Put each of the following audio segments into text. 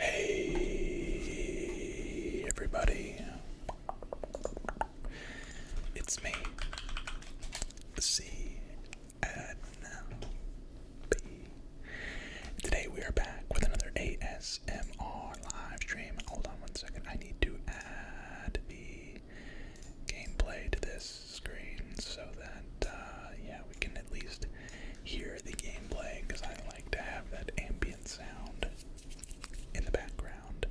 Hey, everybody. It's me, C Today we are back with another ASMR live stream. Hold on one second. I need to add the gameplay to this screen so that uh, yeah we can at least hear the gameplay because I like to have that ambient sound in the background.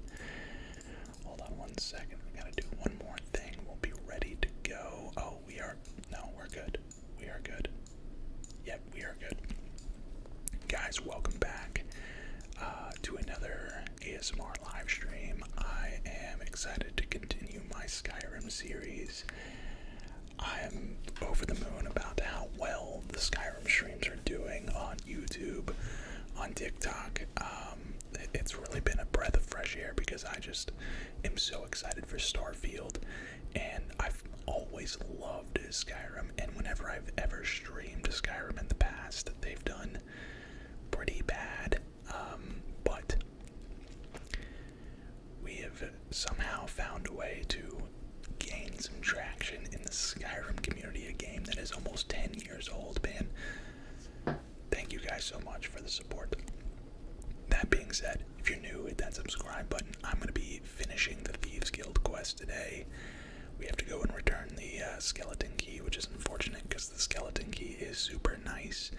Hold on one second. We gotta do one more thing. We'll be ready to go. Oh, we are. No, we're good. We are good. Yep, we are good. Guys, welcome back uh, to another ASMR live stream. I am excited to continue my Skyrim series. I am over the moon about how well the Skyrim streams are doing on YouTube, on TikTok. Um, it's really been a breath of fresh air because I just am so excited for Starfield and I've always loved Skyrim. And whenever I've ever streamed Skyrim in the past, they've done pretty bad. Um, but we have somehow found a way to gain some traction in the Skyrim community, a game that is almost 10 years old, man. Thank you guys so much for the support. That being said, if you're new, hit that subscribe button. I'm going to be finishing the Thieves Guild quest today. We have to go and return the uh, skeleton key, which is unfortunate because the skeleton key is super nice.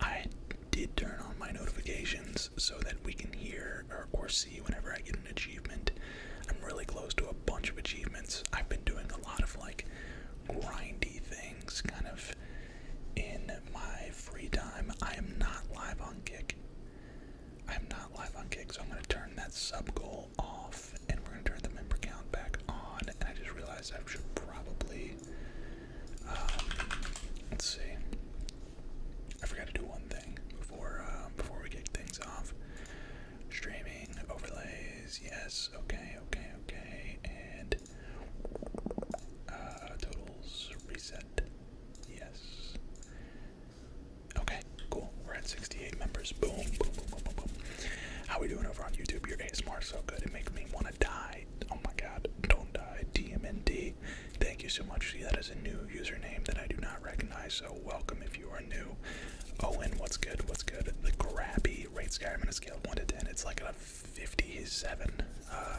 I did turn on my notifications so that we can hear or see whenever I get an achievement. I'm really close to a bunch of achievements. I've been doing a lot of like grindy things, kind of in my free time. I am not live on Kick. I'm not live on Kick, so I'm going to turn that sub goal off and we're going to turn the member count back on. And I just realized I should probably. Um, let's see. I forgot to do one thing before uh, before we kick things off. Streaming overlays, yes, okay, okay, okay, and uh, totals reset. Yes. Okay, cool. We're at 68 members. Boom, boom, boom, boom, boom, boom. How we doing over on YouTube? Your ASMR is so good. It makes me want to die. Oh my god. Don't die. DMND. Thank you so much. See, that is a new username that I do not recognize, so welcome if you are new. Owen, what's good? What's good? The Grabby rate guy. I'm going to scale 1 to 10. It's like a 57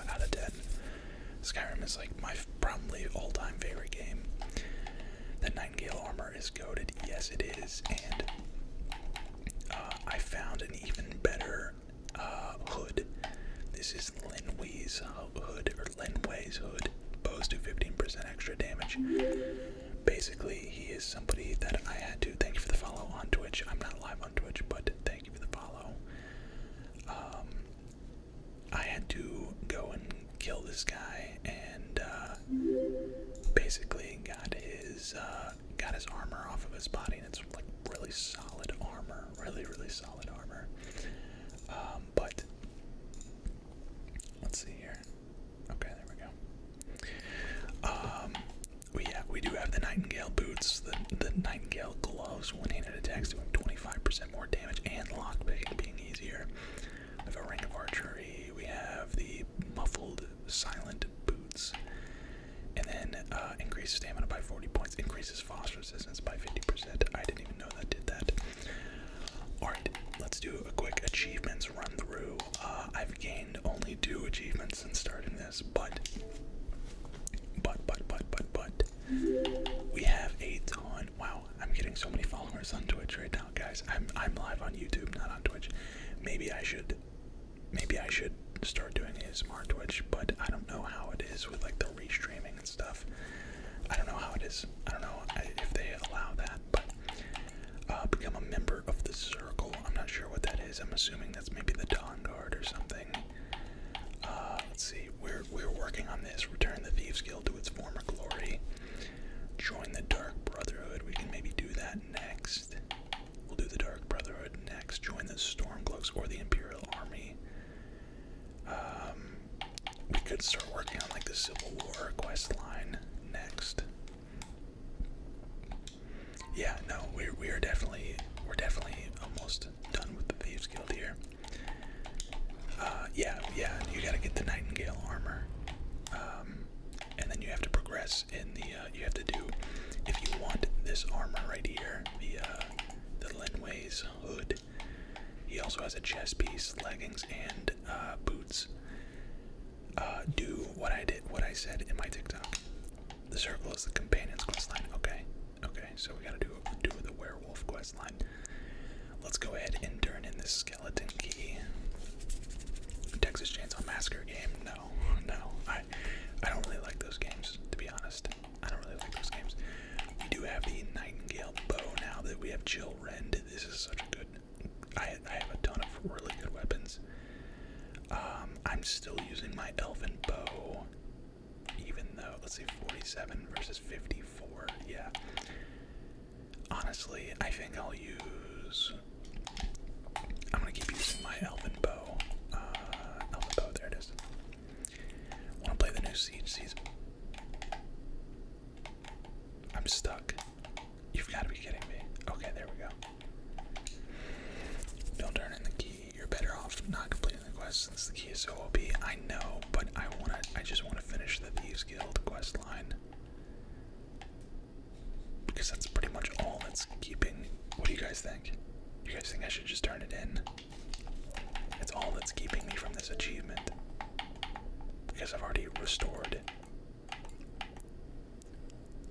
out of 10. Skyrim is like my probably all time favorite game. The Nightingale armor is goaded, yes, it is, and uh, I found an even better uh, hood. This is Linway's hood, or Linway's hood. Bows do 15% extra damage. Basically, he is somebody that I had to thank you for the follow on Twitch. I'm not live on Twitch, but thank you for the follow. Um, I had to go and kill this guy and uh, basically got his uh, got his armor off of his body, and it's like really solid armor, really really solid armor. Um, but let's see here. Okay, there we go. Um, we yeah we do have the Nightingale boots, the the Nightingale gloves. One-handed attacks doing 25% percent more damage and lockpick being easier. We have a rank of archery. We have the muffled silent boots, and then uh, increases stamina by 40 points. Increases frost resistance by 50%. I didn't even know that did that. All right, let's do a quick achievements run through. Uh, I've gained only two achievements since starting this, but. But, but, but, but, but, we have a ton. Wow, I'm getting so many followers on Twitch right now, guys. I'm I'm live on YouTube, not on Twitch. Maybe I should maybe I should start doing ASMR Twitch, but I don't know how it is with like the restreaming and stuff. I don't know how it is. I don't know if they allow that, but uh, become a member of the circle. I'm not sure what that is. I'm assuming that's maybe the Dawn Guard or something. Uh, let's see. We're we're working on this. Return the Thieves Guild to its former glory. Join the Dark Brotherhood. We can maybe do that next. We'll do the Dark Brotherhood next. Join the Stormcloaks or the Imperial Army. Um, we could start working on like the Civil War quest line next. Yeah, no, we're we're definitely we're definitely almost done with the Thieves Guild here. Uh, yeah, yeah, you gotta get the Nightingale armor. Um, and then you have to progress in the, uh, you have to do, if you want this armor right here, the, uh, the Linway's hood. He also has a chest piece, leggings, and, uh, boots. Uh, do what I did, what I said in my TikTok. The circle is the companion's quest line. Okay, Okay, so we gotta do do the werewolf quest line. Let's go ahead and turn in this skeleton key. Texas Chainsaw Massacre game? No, no. I I don't really like those games, to be honest. I don't really like those games. We do have the Nightingale bow now that we have Jill Rend. This is such a good. I I have a ton of really good weapons. Um, I'm still using my elven bow even though let's see, 47 versus 54 yeah honestly i think i'll use i'm gonna keep using my elven bow uh elven bow there it is want to play the new siege season i'm stuck you've got to be kidding me okay there we go don't turn in the key you're better off not completing the quest since the key is so OP. I know, but I wanna I just wanna finish the Thieves Guild quest line. Because that's pretty much all that's keeping what do you guys think? You guys think I should just turn it in? It's all that's keeping me from this achievement. Because I've already restored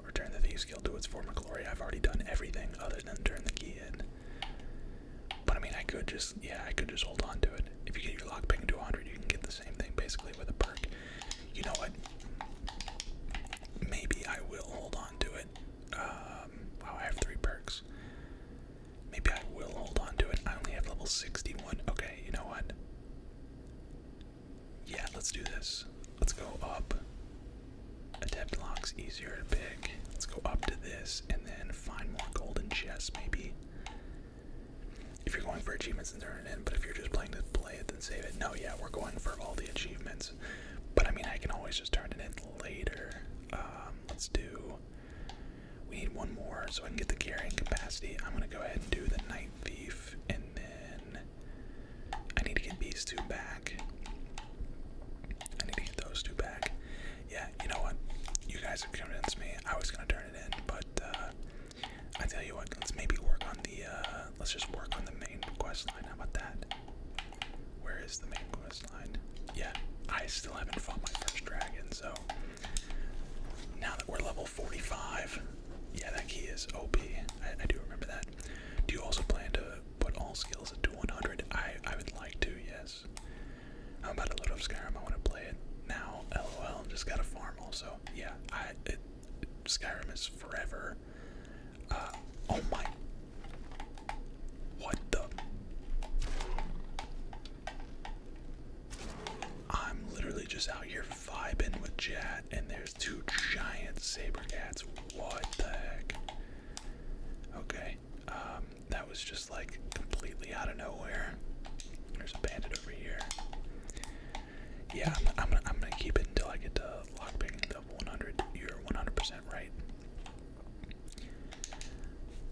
Return the Thieves Guild to its former glory. I've already done everything other than turn the key in. But I mean, I could just, yeah, I could just hold on to it. If you get your lockpick into 100, you can get the same thing basically with a perk. You know what? Maybe I will hold on to it. Um, wow, I have three perks. Maybe I will hold on to it. I only have level 61. Okay, you know what? Yeah, let's do this. Let's go up. Adept locks easier to pick. Let's go up to this and then find more golden chests maybe. If you're going for achievements and turn it in, but if you're just playing to play it, then save it. No, yeah, we're going for all the achievements. But I mean, I can always just turn it in later. Um, let's do. We need one more so I can get the carrying capacity. I'm gonna go ahead and do the Night Thief, and then I need to get these two back. I need to get those two back yeah, you know what? You guys have convinced me. I was gonna turn it in, but uh, I tell you what, let's maybe work on the. Uh, let's just work on the main quest line. How about that? Where is the main quest line? Yeah, I still haven't fought my first dragon, so now that we're level 45, yeah, that key is OP. I, I do remember that. Do you also plan to put all skills into 100? I I would like to. Yes guys. How about a little of Skyrim? I want to play it now. LOL. Just got a farm also. Yeah, I Skyrim is forever. Uh, oh my. What the? I'm literally just out here vibing with chat, and there's two giant saber cats. What the heck? Okay, um, that was just like completely out of nowhere. There's a bandit over here. Yeah, I'm, gonna, keep it until I get to lock picking the 100. You're 100% right.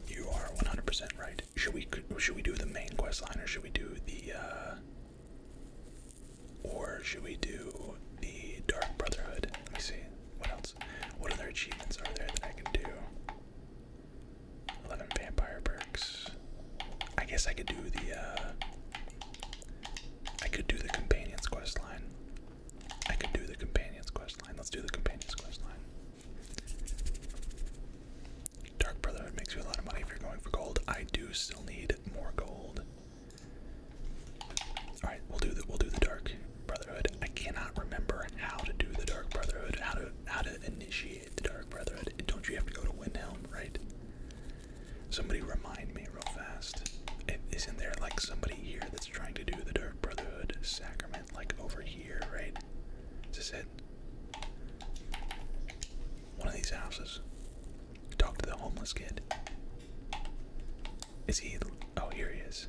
You are 100% right. Should we should we do the main quest line or should we do the uh, or should we do the Dark Brotherhood? Let me see. What else? What other achievements are there that I can do? Eleven vampire perks. I guess I could do the uh I could do the companions quest line. I could do the companions quest line. Let's do the companions quest line. Dark Brotherhood makes you a lot of money if you're going for gold. I do still need more gold. Alright, we'll do the we'll do the dark Brotherhood. I cannot remember how to do the Dark Brotherhood, how to how to initiate the Dark Brotherhood. Don't you have to go to Windhelm, right? Somebody remind me real fast. Isn't there like somebody here that's trying to do the Dark Brotherhood sacrament, like over here, right? Is this it? One of these houses. Talk to the homeless kid. Is he? Oh, here he is.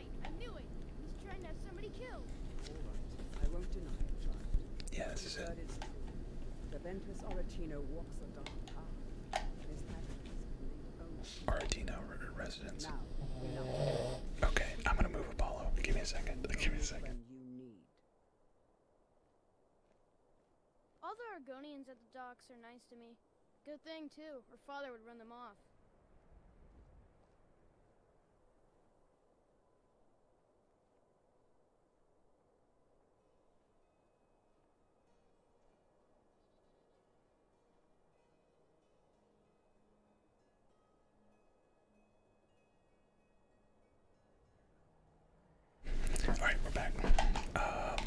right, I knew it. He's trying to have somebody killed. All right, I won't deny it, child. Yeah, this is it. Is the Ventus Oratino walks a dark path. His Oratino residence. Now, okay, I'm gonna move Apollo. Give me a second. Give me a second. All the Argonians at the docks are nice to me. Good thing, too. Her father would run them off. All right, we're back. Um,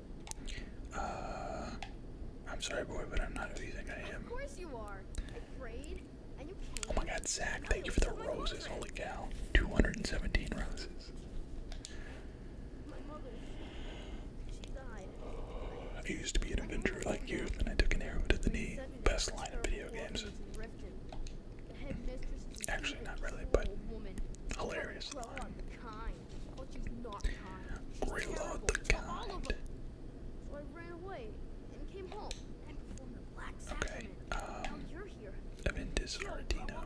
Uh, I'm sorry, boy, but I'm not who you think I am. Of course you are. Afraid? And you can't. Oh my God, Zach! Thank you for the roses. Holy cow! 217 roses. My mother, she died. I used to be an adventurer like you, then I took an arrow to the knee. Best line of video games. Actually, not really, but hilarious line. Reload the kind. Okay, um, Aventis Ardino.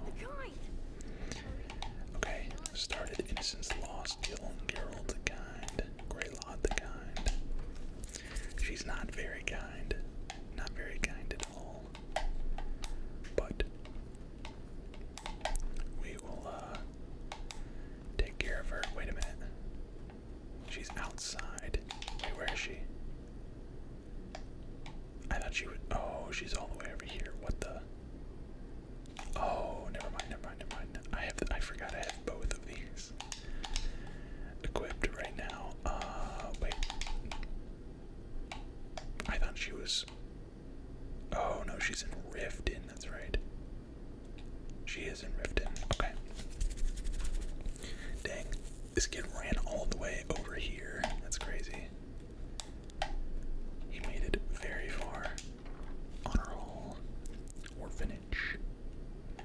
Okay, started Innocence Lost, Gerald the Kind, Greylot the Kind. She's not very kind, not very kind at all, but we will uh, take care of her. Wait a minute. She's outside. Wait, where is she? I thought she would. Oh, she's all the way over here. What the? Oh, never mind, never mind, never mind. I have. I forgot I have both of these equipped right now. Uh, wait. I thought she was Oh no, she's in Riften, that's right. She is in Riften, okay. Dang, this kid ran all the way over here. That's crazy. He made it very far. Honor Hall, Orphanage.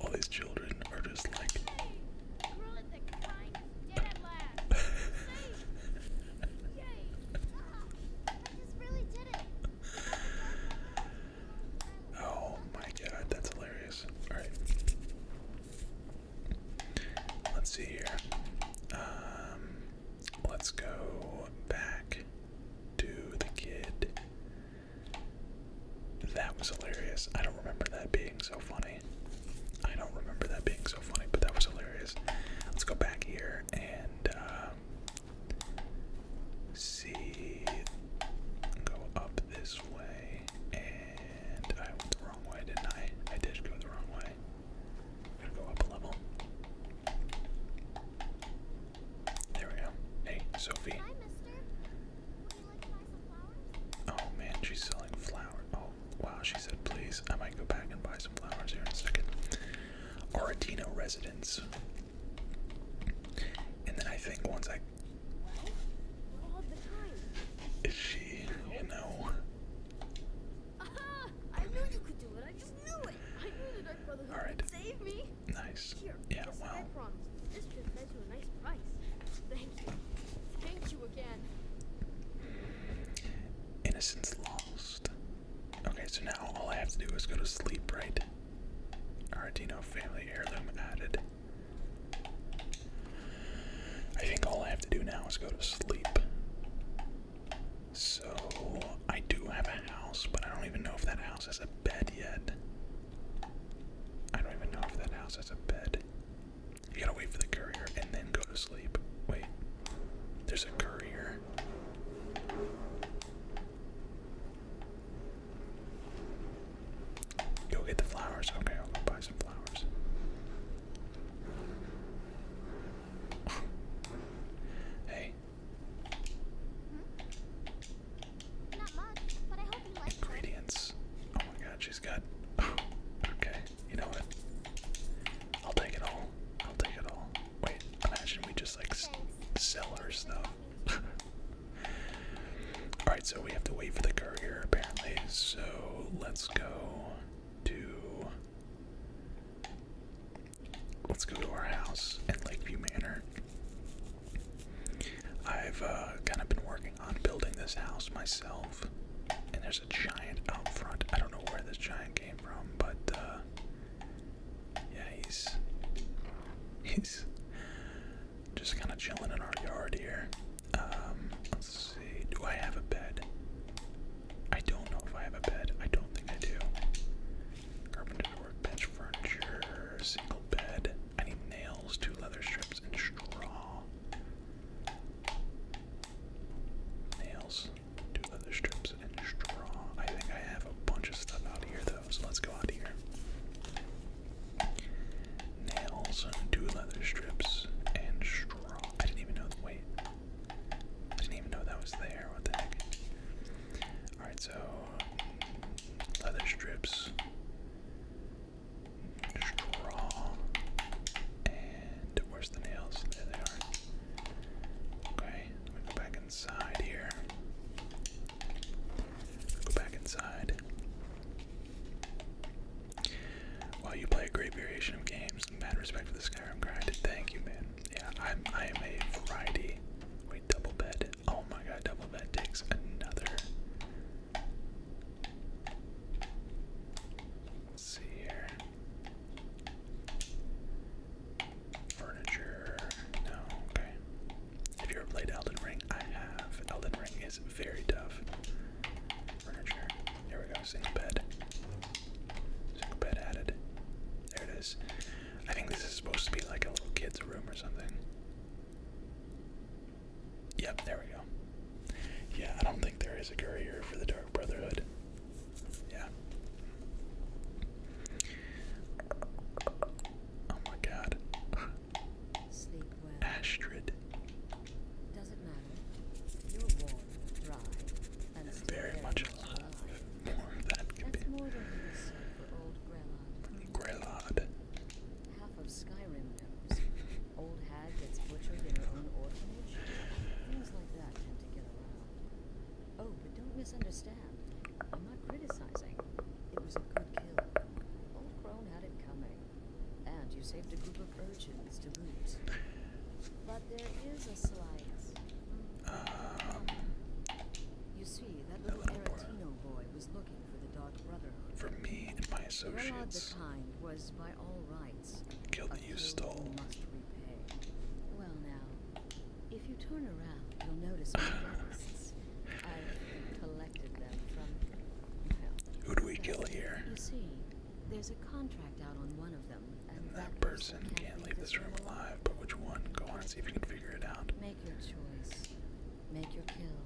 all these children are just like Oh my god, that's hilarious. Alright. Let's see here. Um, let's go back to the kid. That was hilarious. I don't remember that being so funny. I don't remember that being so funny, but that was hilarious. Let's go back here and um, see. Go up this way, and I went the wrong way, didn't I? I did go the wrong way. gonna go up a level. There we go. Hey, Sophie. Hi, mister. Oh man, she's selling flowers. Oh wow, she said please. I might go back and buy some flowers here in a second. Aretino residence. And then I think once I well, Is she, you know? Aha! I knew you could do it. I just knew it. I knew the Dark Brotherhood All right. would save me. Nice. Here, yeah, wow. Well. Thank you. again. Innocence lost. Okay, so now all I have to do is go to sleep, right? Aradino family heirloom added. I think all I have to do now is go to sleep. So, I do have a house, but I don't even know if that house has a bed yet. I don't even know if that house has a bed. You gotta wait for the courier and then go to sleep. Wait. There's a courier. Go get the flowers. Okay, I'll go buy some flowers. hey. Hmm? Ingredients. Oh my god, she's got. Oh, okay, you know what? I'll take it all. I'll take it all. Wait, imagine we just like sell her stuff. Alright, so we have to wait for the courier apparently. So let's go to. Let's go to our house in Lakeview Manor. I've uh, kind of been working on building this house myself. And there's a giant out front. I don't know where this giant came from, but uh yeah, he's he's just kind of chilling in our yard here. Um, let's see. Do I have a bed? I don't know if I have a bed. I don't think I do. Carpenter's workbench furniture, single bed. I need nails, two leather strips, and straw. Nails, two leather strips, and straw. I think I have a bunch of stuff out here though, so let's go out here. Nails, two leather strips, and straw. I didn't even know the weight. didn't even know that was there. What the heck? Alright, so leather strips. Straw. And where's the nails? There they are. Okay, let me go back inside here. Go back inside. While you play a great variation of games, mad respect for the Skyrim grind. Thank you, man. Yeah, I'm I am a variety. Wait, double bed. Oh my god, double bed takes another Let's see here. Furniture. No, okay. If you ever played Elden Ring, I have. Elden Ring is very tough. Furniture. Here we go. Single bed. Single bed added. There it is. I think this is supposed to be like a little kid's room or something. Yep, there we go. Yeah, I don't think there is a courier for the Dark Brotherhood. Yeah. Oh my god. Sleep well. Astrid. Doesn't matter. You're warm, dry, and, and very, much alive. alive. More than that can be. More for old Grelod. Old hag gets butchered in her own orphanage. Things like that tend to get around. Oh, but don't misunderstand. I'm not criticizing. It was a good kill. Old Crone had it coming. And you saved a group of urchins to boot. But there is a slight. you see, that little Aretino boy was looking for the Dark Brotherhood. For me and my associates. Gerard the Kind was by all you stole. Well now, if you turn around, you'll notice my breakfasts. I've collected them from. Well, Who do we kill here? You see, there's a contract out on one of them, and, that, person can't, can't leave this room alive. But which one? Go on and see if you can figure it out. Make your choice. Make your kill.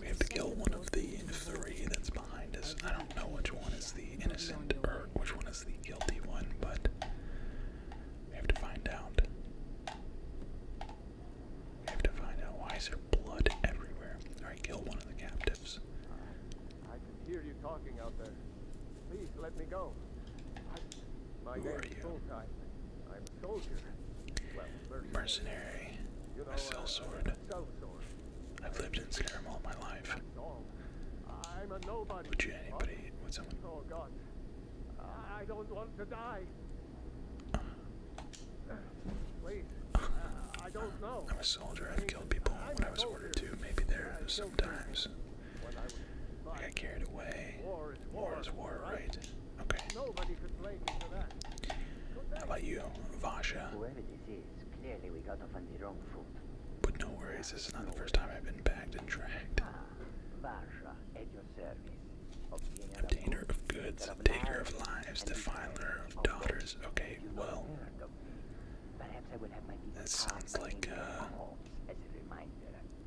We have to kill one of the three that's behind us. I don't know which one is the innocent or which one is the guilty one, but we have to find out. We have to find out why is there blood everywhere. Alright, kill one of the captives. I can hear you talking out there. Please let me go. Who are you? I'm a soldier. Mercenary. I sell uh, I've lived in Skyrim all my life. Would you anybody would someone? Oh, I don't want to die. I don't know. I'm a soldier. I've killed people when I was ordered to. Maybe there sometimes. I got carried away. War is war, right? Okay. How about you, Vasha? Whoever this is, clearly we got off on the wrong foot. But no worries, this is not the first time I've been bagged and dragged. Ah, Vasha, at your service. Obtainer of goods, of taker of lives, defiler of daughters. Okay, well. that sounds like, uh, a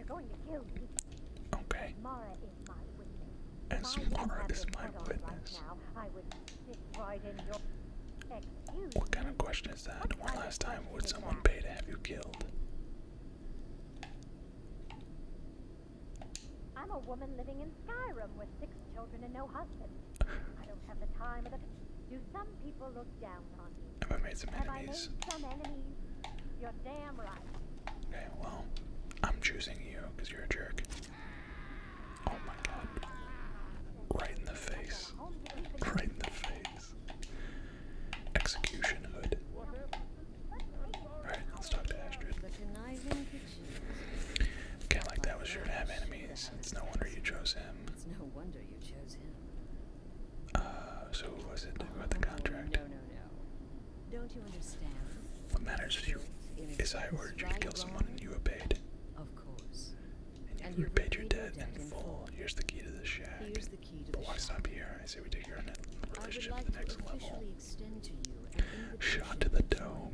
okay. As Mara is my witness. I what kind of question is that? One last time, would someone pay to have you killed? I'm a woman living in Skyrim with six children and no husband. I don't have the time or Do some people look down have I made some Have enemies? some enemies? You're damn right. Okay, well, I'm choosing you because you're a jerk. Oh my god. Right in the face. Right in the face. Execution hood. Alright, let's talk to Astrid. Okay, like that was sure to have enemies. It's no wonder you chose him. It's no wonder you chose him. Uh, so who was it about the contract? No, no, no. Don't you understand? What matters to you is I ordered you to kill someone and you obeyed. Of course. And you, and you repaid your debt in full. Here's the key to the shack. but why stop here? I say we take your relationship like to the next level. Extend to the dome.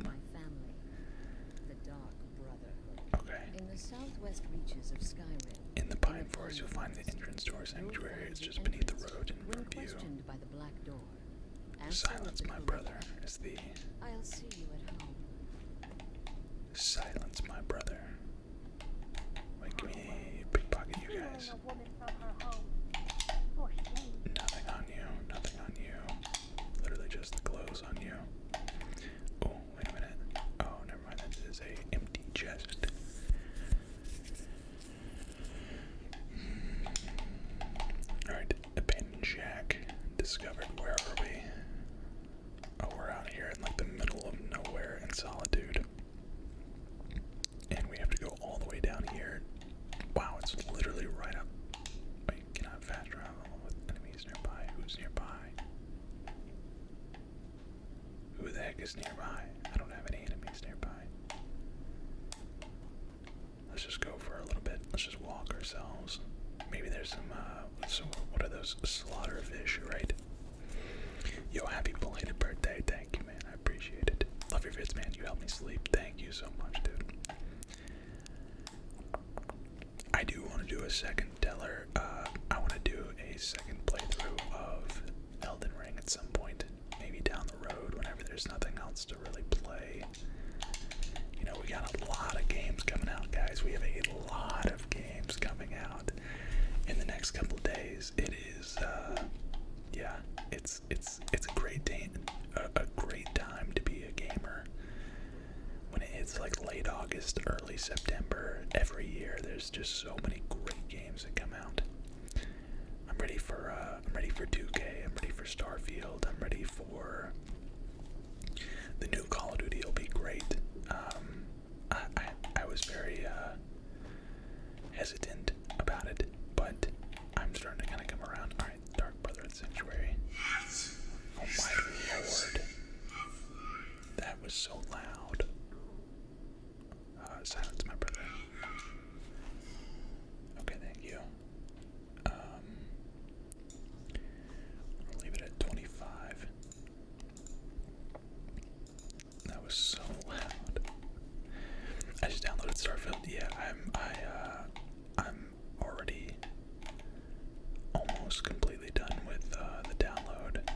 In the southwest reaches of Skyrim. In the pine forest, you'll find the entrance to our sanctuary. It's just beneath the road and from view. Silence, my brother, is the. I'll see you at home. Silence, my brother. Wait, can pickpocket you guys? Nothing on you, nothing on you. Literally just the clothes on you. Oh, wait a minute. Oh, never mind. That is a empty chest. Alright, abandoned shack. Discovered. Where are we? Oh, we're out here in like the middle of nowhere in solitude. And we have to go all the way down here. Wow, it's literally right up. Wait, can fast travel with enemies nearby? Who's nearby? Who the heck is nearby? I don't have any enemies nearby. Let's just go for a little bit. Let's just walk ourselves. Maybe there's some, uh, some what are those slaughterfish, fish, right? Yo, happy belated birthday. Thank you, man. I appreciate it. Love your vids, man. You helped me sleep. Thank you so much, dude. I do want to do a second teller. Uh, I want to do a second playthrough of Elden Ring at some point, maybe down the road, whenever there's nothing else to really play. You know, we got a lot of games coming out, guys. We have a lot of games coming out in the next couple days. It is, uh, yeah, it's it's it's a great day, a, a great time to be a gamer. When it's like late August, early September, every year there's just so many great games I'm ready for uh, I'm ready for 2K. I'm ready for Starfield. I'm ready for the new Call of Duty. it Will be great. Um, I, I was very uh, hesitant about it, but I'm starting to kind of come around. All right, Dark Brotherhood Sanctuary. Oh my lord, that was so loud. Uh, silence my brother. Okay, thank you. Um, leave it at 25. That was so loud. I just downloaded Starfield. Yeah, I'm. I. Uh, I'm already almost completely done with uh, the download.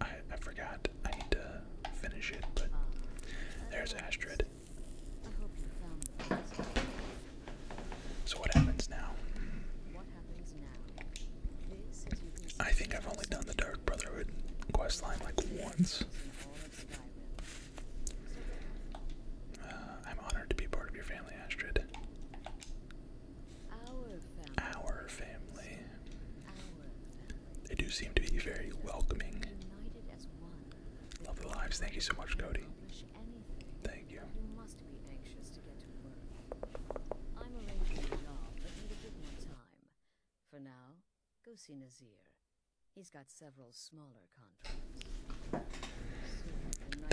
I. I forgot I need to finish it, but there's Astrid. So what happens now? I think I've only done the Dark Brotherhood quest line like once. Uh, I'm honored to be part of your family, Astrid. Our family. They do seem to be very welcoming. Love lives. Thank you so much, Cody. Thank you.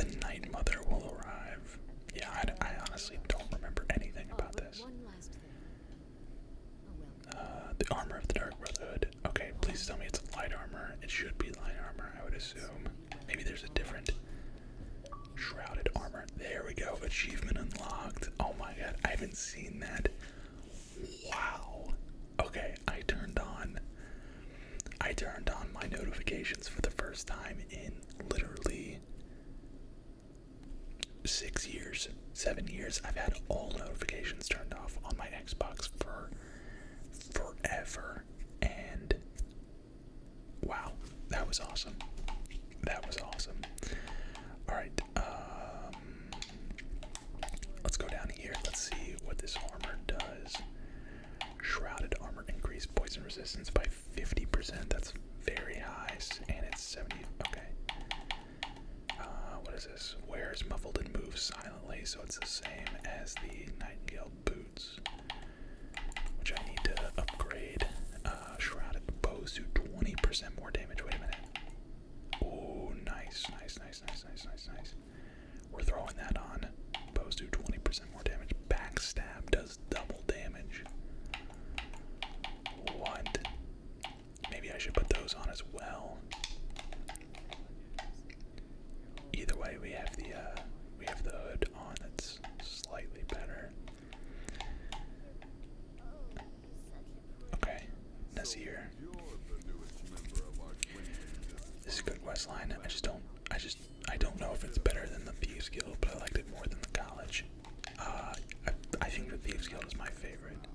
The Night Mother will arrive. Yeah, I, honestly don't remember anything about oh, this. Uh, the armor of the Dark Brotherhood. Okay, please tell me it's light armor. It should be light armor, I would assume. Maybe there's a different shrouded armor. There we go. Achievement unlocked. Oh my god, I haven't seen that. Wow. Okay, I turned on. I turned on my notifications for the first time in literally six years, seven years, I've had all notifications turned off on my Xbox for forever. And wow, that was awesome. That was awesome. Alright, um, let's go down here. Let's see what this armor does. Shrouded armor increase poison resistance by 50%. That's very high. And it's 70. Okay. Uh, what is this? Wears muffled and moves silently, so it's the same as the Nightingale boots, which I need to upgrade. Uh, shrouded bows do 20% more damage. Wait a minute. Oh, nice, nice, nice, nice, nice, nice, nice. We're throwing that on. Bows do 20% more damage. Backstab does double damage. What? Maybe I should put those on as well. Either way, we have the uh, we have the hood on. That's slightly better. Okay, Nasir. This is good West line. I just don't. I just. I don't know if it's better than the Thieves Guild, but I liked it more than the college. Uh, I think the Thieves Guild is my favorite.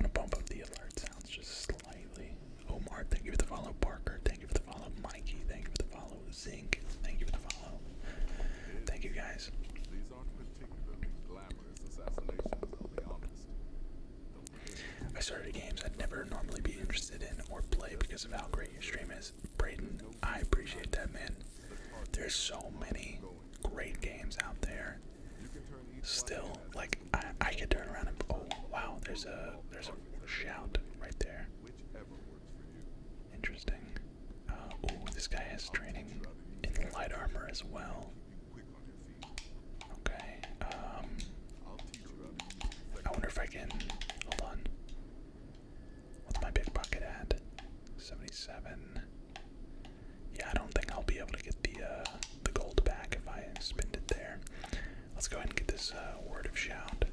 I'm gonna bump up the alert sounds just slightly. Omar, thank you for the follow. Parker, thank you for the follow. Mikey, thank you for the follow. Zinc, thank you for the follow. Thank you guys. i started games I'd never normally be interested in or play because of how great your stream is. Brayden, I appreciate that, man. There's so many great games out there. Still, like I, I could turn around and oh wow, there's a there's a shout right there. Interesting. oh, this guy has training in light armor as well. Okay. Um. I wonder if I can. Hold on. What's my big bucket at? 77. Yeah, I don't think I'll be able to get the uh, the gold back if I spend it there. Let's go ahead and get this uh, word of shout.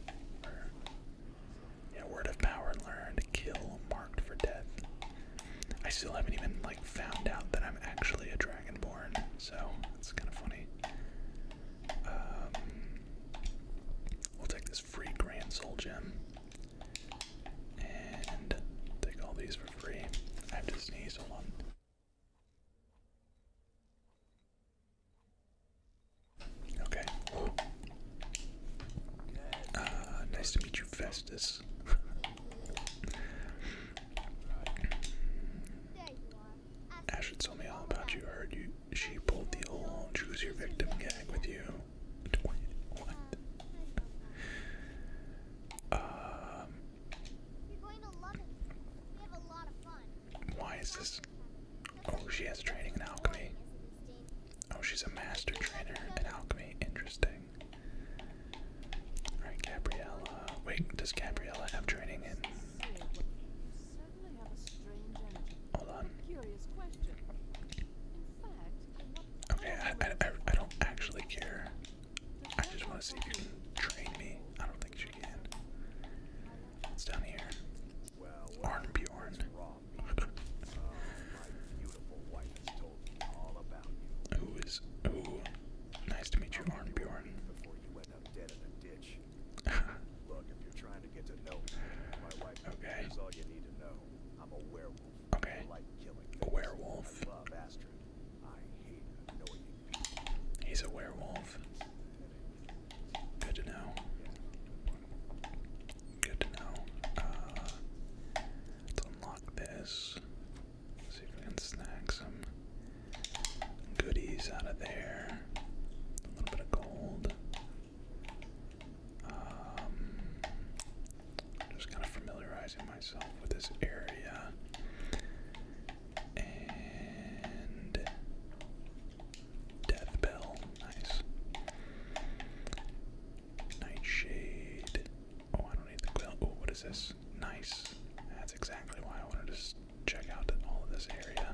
yeah, word of power learned. Kill marked for death. I still haven't even like found out that I'm actually a dragonborn, so it's kind of funny. Um, we'll take this free grand soul gem. And take all these for free. I have to sneeze, a lot. Okay. Uh, nice to meet you, Festus. Ash told me all about you. heard you. She pulled the old choose your victim gag with you. Um, Why is this? Oh, she has training in alchemy. Oh, she's a master trainer in alchemy. Interesting. All right, Gabriella. Wait, does Gabriella have training in? Hold on. Okay, I, I, I don't actually care. I just want to see if you can train me. I don't think she can. It's down here. Arn Bjorn. Who is? Ooh, nice to meet you, Arn Bjorn. Look, if you're trying to get to know me, my wife okay. is all you need to know. I'm a werewolf. Okay. A werewolf. He's a werewolf. Good to know. Good to know. Uh, let's unlock this. See if we can snag some goodies out of there. A little bit of gold. Um, just kind of familiarizing myself with this area. And Death Bell, nice. Nightshade. Oh, I don't need the quill. Oh, what is this? Nice. That's exactly why I wanted to check out all of this area.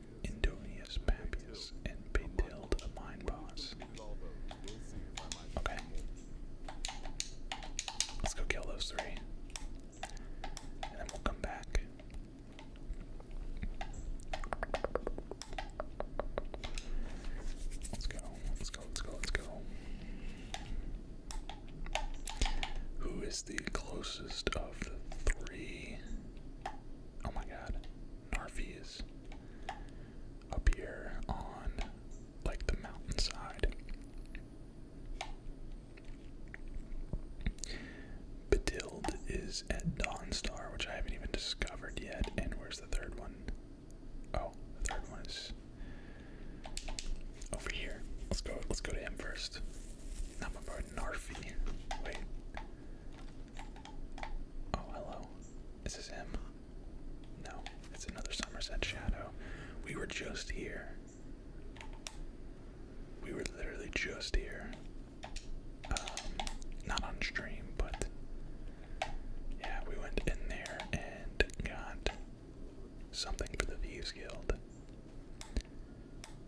Indonius Papius, and Batild Mind Boss. Okay. Let's go kill those three. And then we'll come back. Let's go, let's go, let's go, let's go. Who is the closest of the three? oh my god, Narfi's up here on like the mountainside. Bedild is at Dawnstar, which I haven't even discovered yet. And where's the third one? Oh, the third one is over here. Let's go. Let's go to him first. I'm about Narfi. Wait, Oh, hello. Is him? No, it's another Somerset Shadow. We were just here. We were literally just here. Um, not on stream, but yeah, we went in there and got something for the Views Guild.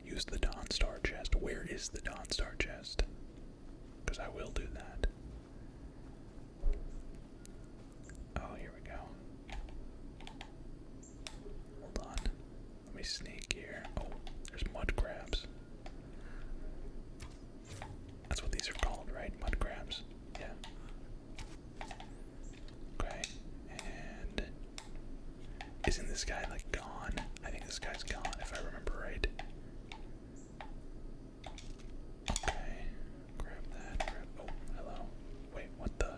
Use the Dawn Star chest. Where is the Dawn Star chest? Because I will do that. Oh, here we go. Hold on. Let me sneak here. Oh, there's mud crabs. That's what these are called, right? Mud crabs. Yeah. Okay. Isn't this guy like gone? I think this guy's gone if I remember right. Okay, grab that. oh, hello. Wait, what the?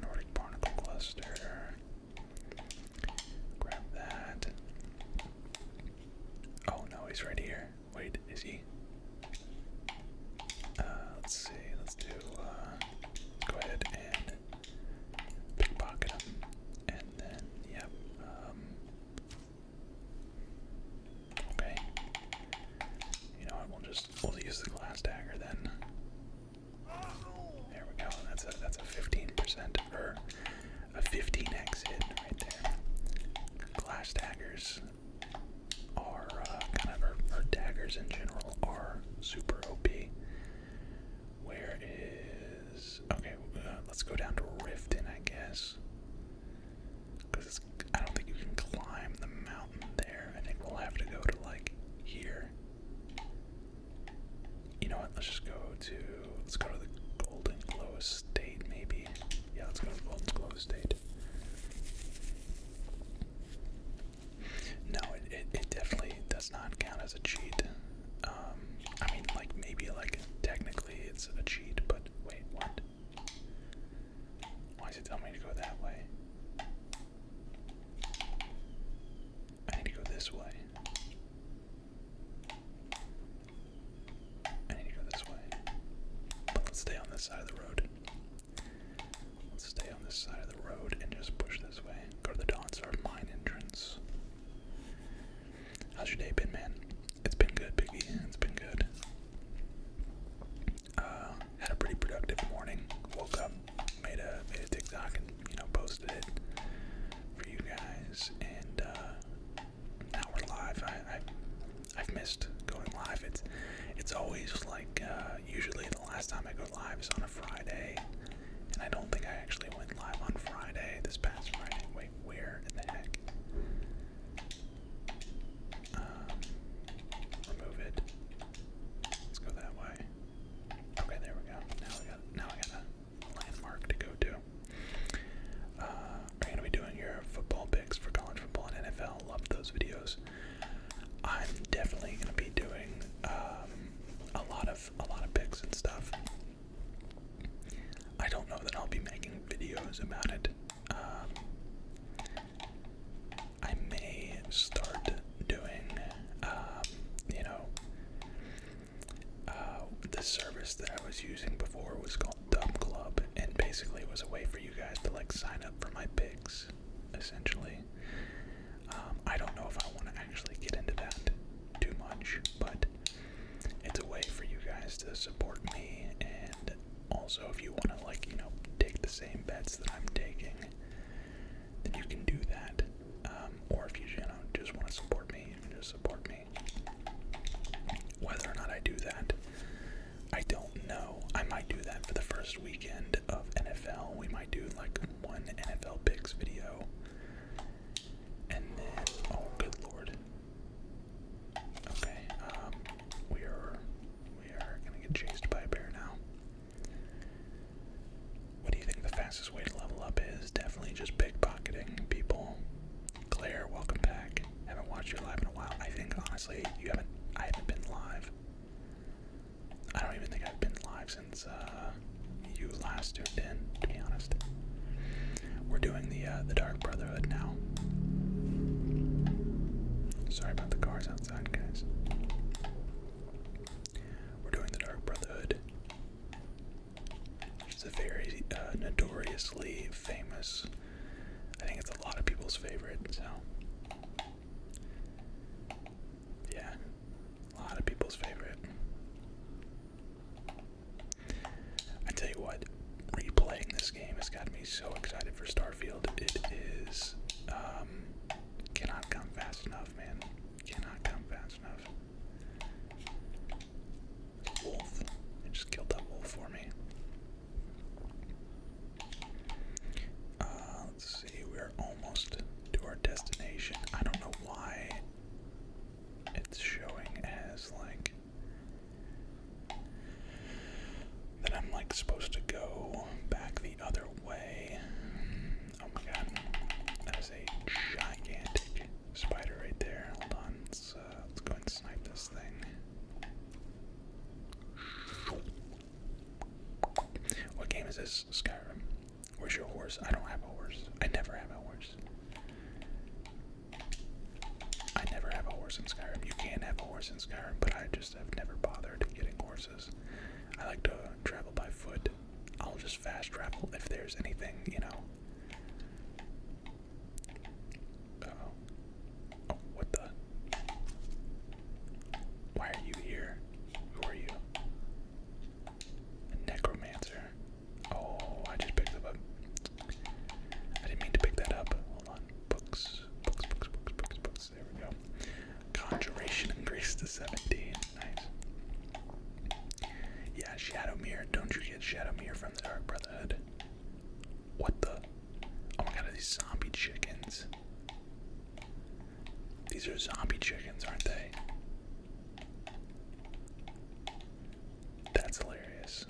Nordic barnacle cluster. Grab that. Oh no, he's right here. Wait, is he? Uh, let's see. Let's do. Uh, go ahead and pickpocket him, and then yep. Um, okay. You know what? We'll just we'll use the glass dagger then. There we go. That's a that's a fifteen percent or a fifteen x hit right there. Glass daggers are uh, kind of or, daggers in general are super OP. Where is. Okay, uh, let's go down to Riften, I guess. Because I don't think you can climb the mountain there. I think we'll have to go to, like, here. You know what? Let's just go to. Let's go to the Golden Glow State, maybe. Yeah, let's go to the Golden Glow State. No, it, it, it definitely does not count as a cheat. Um, I mean, like, maybe, like, technically it's a cheat, but wait, what? Why is it telling me to go that way? I need to go this way. I need to go this way. let's stay on this side of the road. Let's stay on this side of the road and just push this way. Garthodonts are mine entrance. How's your day been, man? It's been good, Biggie. It's been good. Uh, had a pretty productive morning. Woke up, made a made a TikTok, and you know posted it for you guys. And uh, now we're live. I, I have missed going live. It's it's always like uh, usually the last time I go live is on a Friday. And I don't think I actually went live on Friday, this past Friday. Wait, where in the heck? Um, remove it. Let's go that way. Okay, there we go. Now we got now I got a landmark to go to. Uh, I'm gonna be doing your football picks for college football and NFL. Love those videos. I'm definitely gonna be doing um, a lot of a lot of pics and stuff. I don't know that I'll be making videos about it. Um, I may start doing, um, you know, uh, the service that I was using before was called Dub Club, and basically it was a way for you guys to like sign up for my picks, essentially. Um, I don't know if I want to actually get into that too much, but it's a way for you guys to support me. And also, if you want to, like, you know, take the same bets that I'm taking, then you can do that. Um, or if you, just want to support me, you can just support me. Whether or not I do that, I don't know. I might do that for the first weekend of NFL. We might do like one NFL picks video. And then, oh good lord. Okay, um, we are, we are gonna get chased by a bear now. What do you think the fastest way to level up is? Definitely just pickpocketing people. Claire, welcome back. Haven't watched you live in a while. I think honestly, you haven't. I haven't been live. I don't even think I've been live since since uh, you last tuned in. To be honest, we're doing the uh, the Dark Brotherhood now. Sorry about the cars outside, guys. We're doing the Dark Brotherhood, which is a very uh, notoriously famous. I think it's a lot of people's favorite. So, yeah, a lot of people's favorite. I tell you what, replaying this game has got me so excited for Starfield. It is um, cannot come fast enough, man. Cannot come fast enough. Wolf. just killed that wolf for me. Uh, let's see, we're almost to our destination. I don't know why it's showing as like that I'm like supposed to go back the other way. Oh my god, that is a gigantic spider right there. Hold on, let's uh, let's go and snipe this thing. What game is this? Skyrim. Where's your horse? I don't have a horse. I never have a horse. I never have a horse in Skyrim. You can not have a horse in Skyrim, but I just have never bothered getting horses. I like to travel by foot. I'll just fast travel if there's anything, you know. Oh, what the? Why are you here? Who are you? Necromancer. Oh, I just picked that up. I didn't mean to pick that up. Hold on. Books. Books, books, books, books, books. There we go. Conjuration increased to 17. Nice. Yeah, Shadow Mirror. Don't you get Shadow Mirror from the Dark Brotherhood? What the? Oh my god, are these zombie chickens? These are zombie chickens, aren't they? That's hilarious.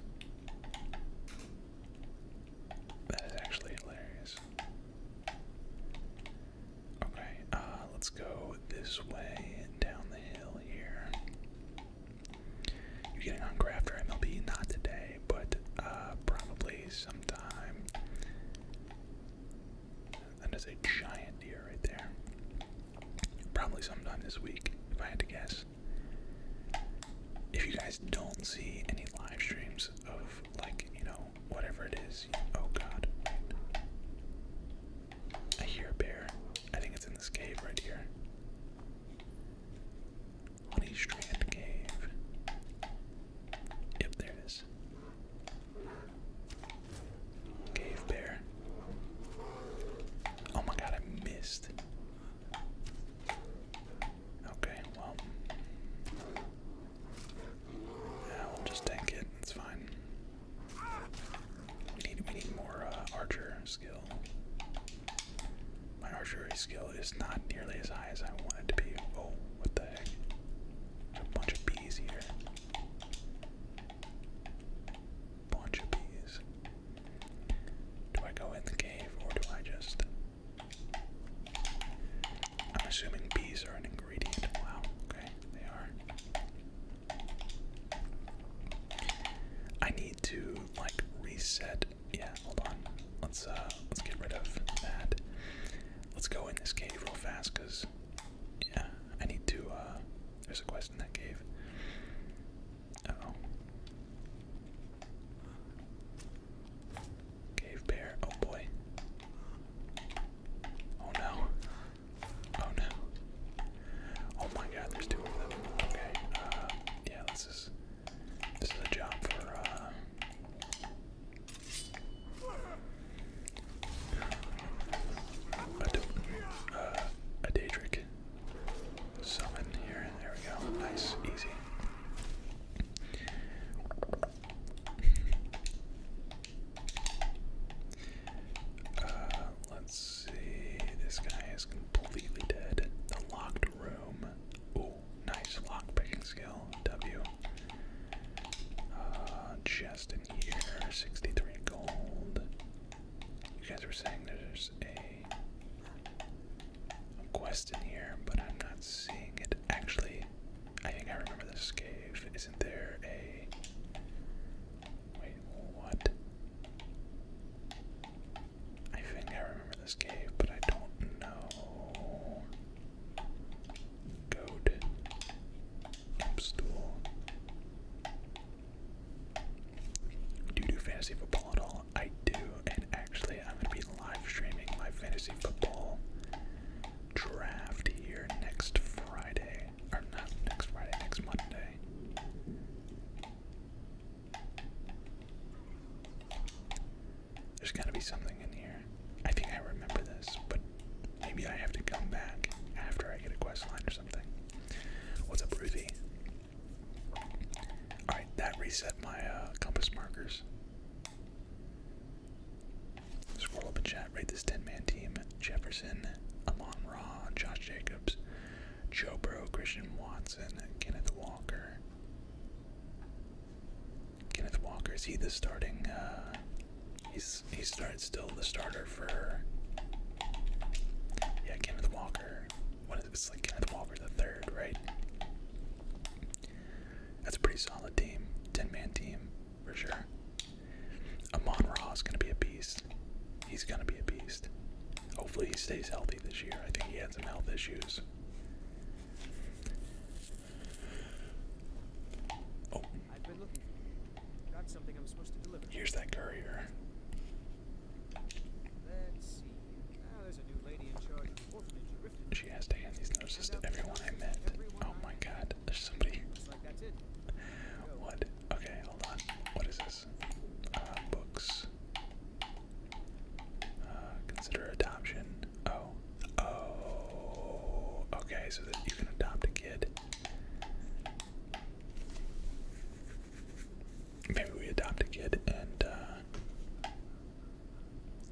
That is actually hilarious. Okay, uh, let's go this way down the hill here. You're getting on Grafter MLB, not today, but uh, probably sometime that is a giant deer right there. Probably sometime this week, if I had to guess. If you guys don't see any live streams of, like, you know, whatever it is, oh god. I hear a bear. I think it's in this cave right here. Honey Strand Cave. Yep, there it is. Cave bear. Oh my god, I missed. Okay, well. Yeah, we'll just tank it. It's fine. We need we need more uh, archer skill. My archery skill is not nearly as high as I want it to be. Oh, what the heck? a bunch of bees here. Portuguese. Do I go in the cave or do I just. I'm assuming bees are an ingredient. Wow, okay, they are. I need to, like, reset. Yeah, hold on. Let's, uh, let's get rid of that. Let's go in this cave real fast, because, yeah, I need to, uh, there's a quest in that cave. oh. Cave bear. Oh boy. Oh no. Oh no. Oh my god, there's two of them. Okay. Uh, yeah, this is. This is a job for, uh, uh, a day trick. Summon here. There we go. Nice, easy. Uh, let's see. This guy is completely dead. The locked room. Oh, nice lock picking skill. W. Uh, here? 63 gold. You guys were saying there's a, quest in here, but I'm not seeing it. Actually, I think I remember this cave. Isn't there a. Wait, what? I think I remember this cave, but I don't know. Goat. Do you do fantasy football at all? I do, and actually, I'm going to be live streaming my fantasy football draft here next Friday. Or not next Friday, next Monday. There's gotta be something in here. I think I remember this, but Maybe I have to come back after I get a quest line or something. What's up, Ruthie? Alright, that reset my uh, compass markers. Scroll up in chat, rate this 10 man team Jefferson, Amon Ra, Josh Jacobs, Joe Bro, Christian Watson, Kenneth Walker. Kenneth Walker, is he the starting? Uh, he started still the starter for yeah Kenneth Walker. What is it's like Kenneth Walker the third, right? That's a pretty solid team, ten man team for sure. Amon Ra is gonna be a beast. He's gonna be a beast. Hopefully he stays healthy this year. I think he had some health issues. Oh, I've been looking for you. Got something I'm supposed to deliver. Here's that courier. Ah, she has to hand these notices to everyone I met. oh my god, there's somebody. What? Okay, hold on. What is this? Uh, books. Uh, consider adoption. Oh. Oh. Okay, so you can adopt a kid. Maybe we adopt a kid and uh,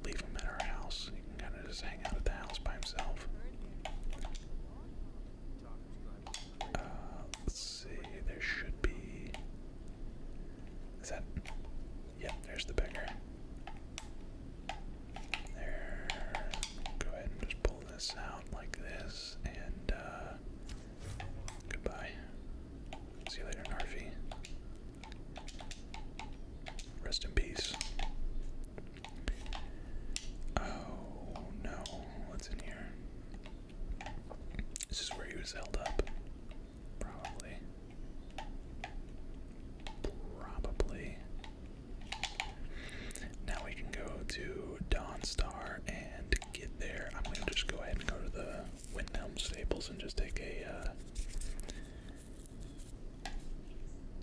leave him at our house. He can kind of just hang out at the house by himself. Uh, let's see, there should be. Is that. Yep, there's the beggar. There. Go ahead and just this out like this, and uh, goodbye. See you later, Narfi. Rest in peace. Oh no, what's in here? This is where he was held up. Probably. Probably. Now we can go to Dawnstar and get there. I'm gonna just go ahead and go to the Windhelm Stables and just uh,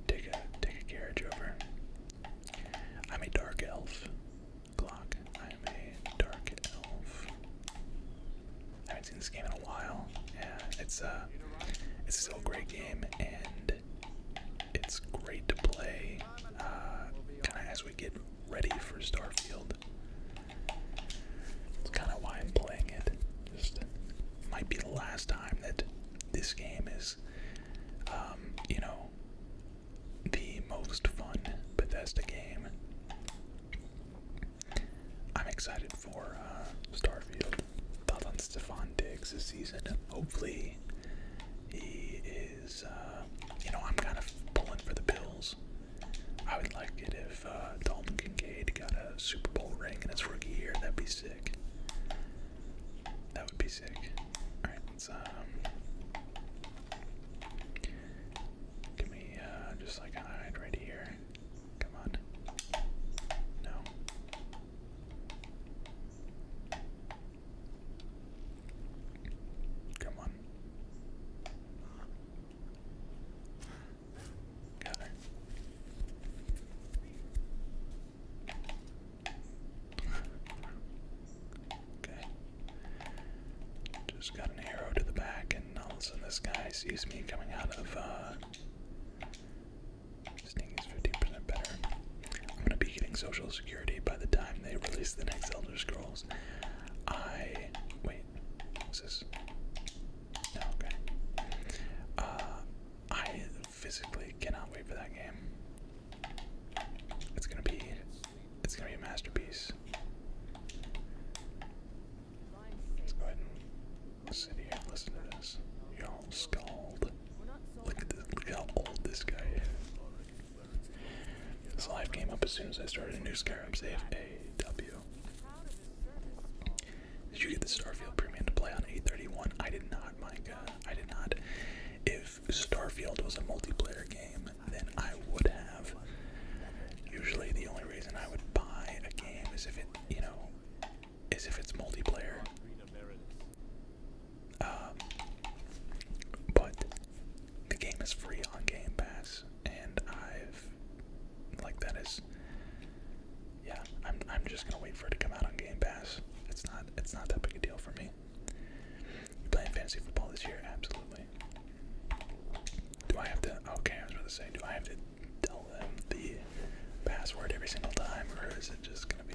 take a take a carriage over. I'm a dark elf. Glock. I am a dark elf. haven't seen this game in a while. Yeah, it's uh, it's still a great game, and it's great to play uh, kind of as we get ready for Starfield. It's kind of why I'm playing it. Just might be the last time that this game is, um, you know, the most fun Bethesda game. I'm excited for uh, Starfield. Thoughts on Stefan Diggs this season. Hopefully, he is, uh, you know, I'm kind of pulling for the Bills. I would like it if uh, Dalton Kincaid got a Super Bowl ring in his rookie year. That'd be sick. That would be sick. All right, let's um, give me uh, just like hide right here. Come on. No. Come on. okay. Just got an arrow to the back, and all of a sudden this guy sees me coming out of, uh. Sting is 15% better. I'm gonna be getting Social Security by the time they release the next Elder Scrolls. I wait. this? No, okay. Uh, I physically cannot wait for that game. It's gonna be, it's gonna be a masterpiece. Let's go ahead and sit here and listen to this. You're all scald. Look at this. Look how old this guy this live came up as soon as I started a new Skyrim save AW. Did you get the Starfield premium to play on 831? I did not, Micah. I did not. If Starfield was a multiplayer game, then I would have. Usually the only reason I would buy a game is if it, you know, is if it's multiplayer. Um, but the game is free on Game Pass, and I've like that is yeah. I'm I'm just gonna wait for it to come out on Game Pass. It's not it's not that big a deal for me. You playing fantasy football this year? Absolutely. Do I have to? Okay, I was about to say, do I have to tell them the password every single time, or is it just gonna be?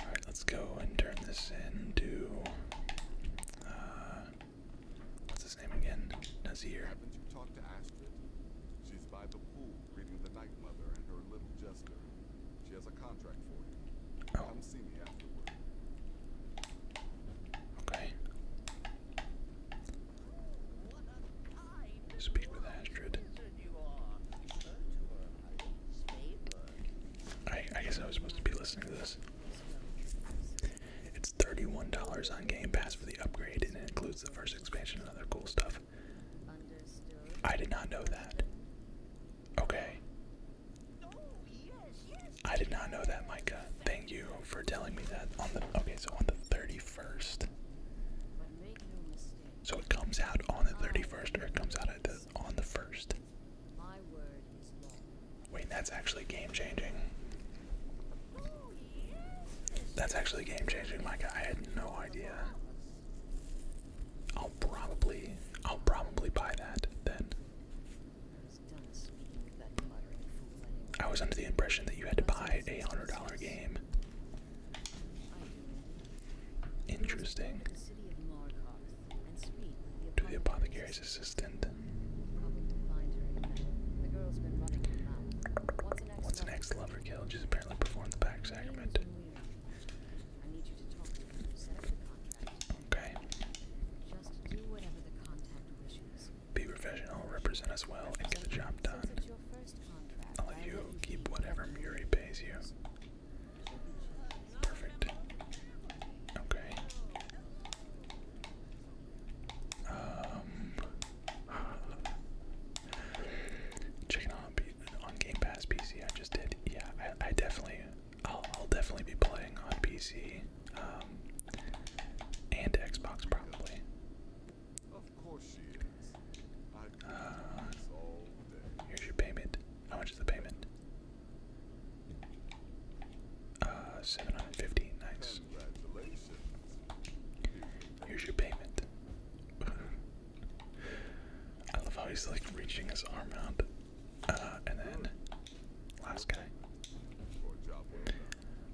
Alright, let's go and turn this into. Uh, what's his name again? Nazir. Haven't you talked to Astrid? She's by the pool reading The Night Mother and her little jester. She has a contract for you. Oh. Come see me afterward. Okay. Speak with Astrid. I, guess I was supposed to be listening to this. It's $31 on Game Pass for the upgrade, and it includes the first expansion and other cool stuff. I did not know that. Okay. I did not know that, Micah. Thank you for telling me that. On the okay, so on the 31st. So it comes out on the 31st, or it comes out at the on the first. My word is law. Wait, that's actually game changing. That's actually game changing, Micah. I had no idea. I'll probably, I'll probably buy that then. I was under the impression that you had to buy a hundred dollar game. Interesting. To the apothecary's assistant. What's an lover killed? She's apparently performed the back sacrament. Okay. Be professional, represent us well, and get the job done. I'll let you keep whatever Murray pays you. Perfect. Okay. Um checking on on Game Pass PC. I just did. Yeah, I, I definitely I'll I'll definitely be playing on PC. Um, and Xbox probably. Of course she is. Uh, here's your payment. How much is the payment? Uh, 750, nice. Here's your payment. I love how he's like reaching his arm out. Uh, and then, last guy.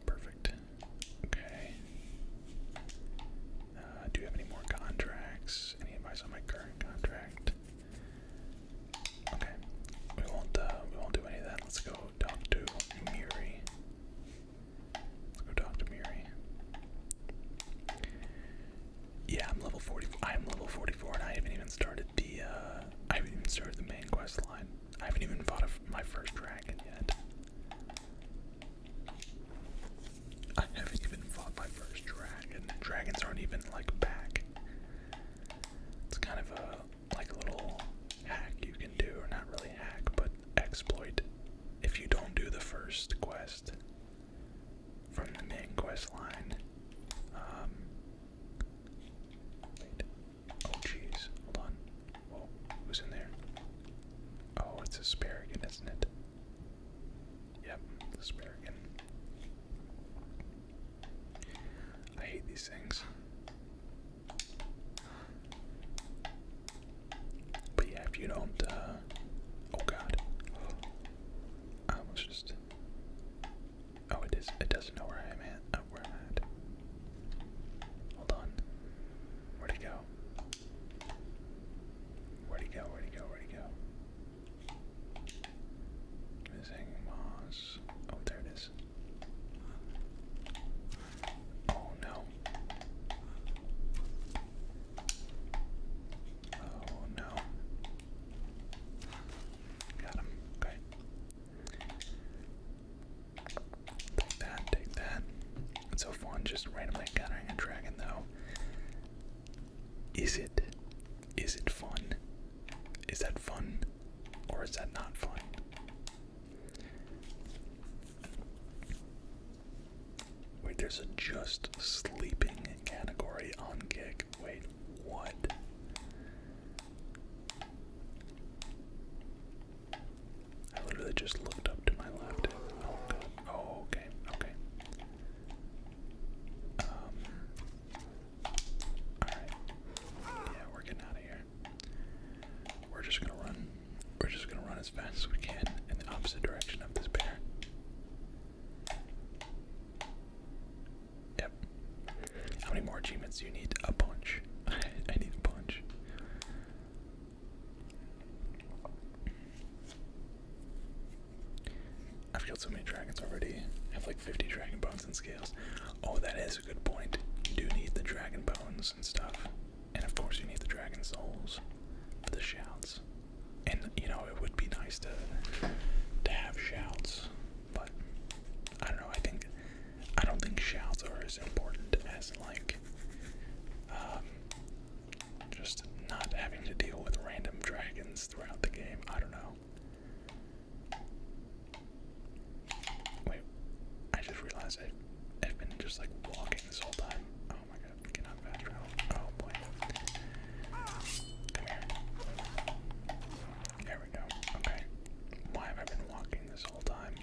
Perfect. Okay. Uh, do you have any more contracts? Any advice on my current contract? Okay, we won't. Uh, we won't do any of that. Let's go talk to Miri. Let's go talk to Miri. Yeah, I'm level 44. I'm level 44, and I haven't even started the. Uh, I haven't even started the main quest line. I haven't even fought my first dragon yet. I haven't even fought my first dragon. Dragons aren't even like back. It's kind of a like a little hack you can do, or not really hack, but exploit. If you don't do the first quest from the main quest line, um, Oh jeez, hold on. Whoa, who's in there? Oh, it's asparagus, isn't it? Yep, the spear again. I hate these things. But yeah, if you don't, uh, Oh god. I almost just. Oh, it is. It doesn't know where I am at. Uh, where am at. Hold on. Where'd he go? Where'd he go? Where'd he go? Where'd he go? Missing Moss. Oh, there it is. Oh no. Oh no. Got him. Okay. Take that, take that. so fun just randomly encountering a dragon, though. Is it is it fun? Is that fun? Or is that not fun? Wait, there's a just sleeping category on kick. Wait, what? I literally just looked up to my left. Oh, oh, okay, okay. Um, yeah, we're getting out of here. We're just gonna run. We're just gonna run as fast as we can in the opposite direction of this bear. Yep. How many more achievements do you need? A bunch. I need a bunch. I've killed so many dragons already. I have like 50 dragon bones and scales. Oh, that is a good point. You do need the dragon bones and stuff. And of course, you need the dragon souls for the shouts. And you know, it would be nice to to have shouts, but I don't know. I think I don't think shouts are as important as like um, just not having to deal with random dragons throughout the game. I don't know. Wait, I just realized I've, been just like walking this whole time. Oh my god, we cannot fast Oh boy. There we go. Okay. Why have I been walking this whole time?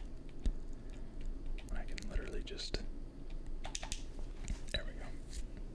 I can literally just. There we go.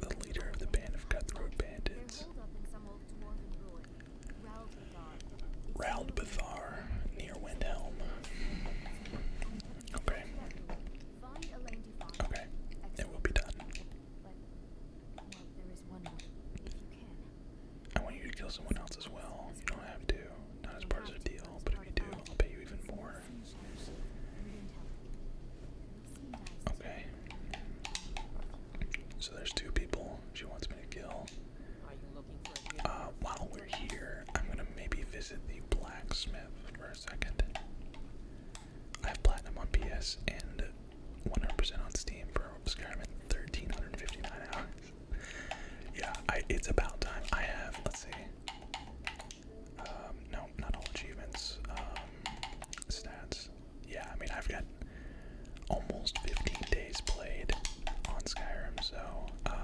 The leader of the band of cutthroat bandits. Raldbathar, near Windhelm. Okay. Okay, it will be done. I want you to kill someone else as well. You don't have to. Not as part of the deal, but if you do, I'll pay you even more. Okay. So there's two people she wants me to kill. Uh, while we're here, I'm gonna maybe visit the blacksmith for a second. I have platinum on PS and 100% on Steam for Skyrim in 1359 hours. yeah, it's about time. I have, let's see, um, no, not all achievements. Um, stats. Yeah, I mean, I've got almost 15 days played on Skyrim, so. Um,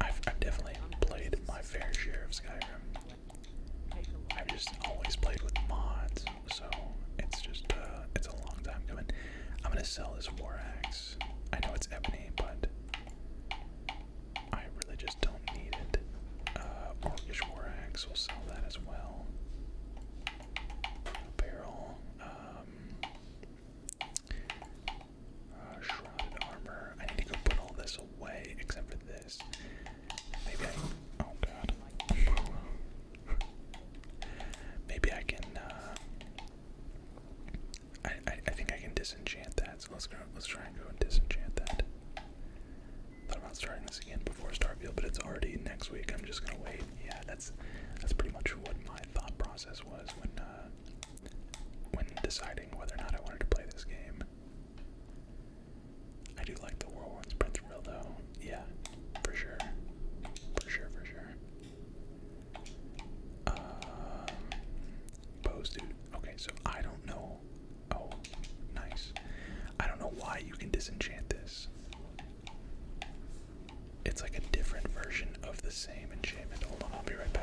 I've, definitely played my fair share of Skyrim. I've just always played with mods, so it's just uh, it's a long time coming. I'm gonna sell this war axe. I know it's ebony, but I really just don't need it. Uh, we'll sell that as well. Barrel, um, uh, Shrouded Armor. I need to go put all this away except for this. Maybe I. Oh god. Maybe I can uh, I, I think I can disenchant that. So let's go. Let's try and go and disenchant that. Thought about starting this again before Starfield, but it's already next week. I'm just gonna wait. Yeah, that's that's pretty much what my thought process was when uh, when deciding whether or not I wanted to play this game. I do like the World War One Sprint Thrill though. Yeah, for sure, for sure, for sure. Um, pose dude. Okay, so I don't know. Oh, nice. I don't know why you can disenchant this. It's like a different version of the same enchantment. Hold on, I'll be right back.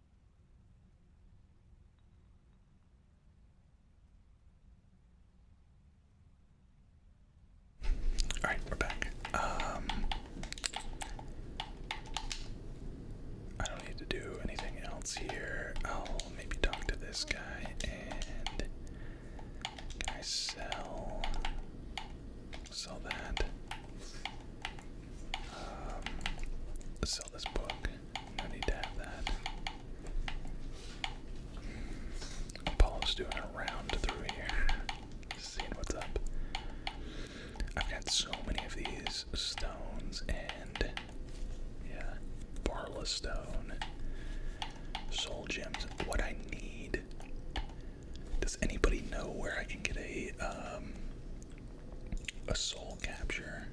All right, we're back. Um, I don't need to do anything else here. I'll maybe talk to this guy and can I sell sell that? Um, sell this book. No need to have that. Paul's doing a round through here, seeing what's up. I've got so many of these stones and yeah, Barla stone, soul gems. What I need. Does anybody know where I can get a um, a soul capture.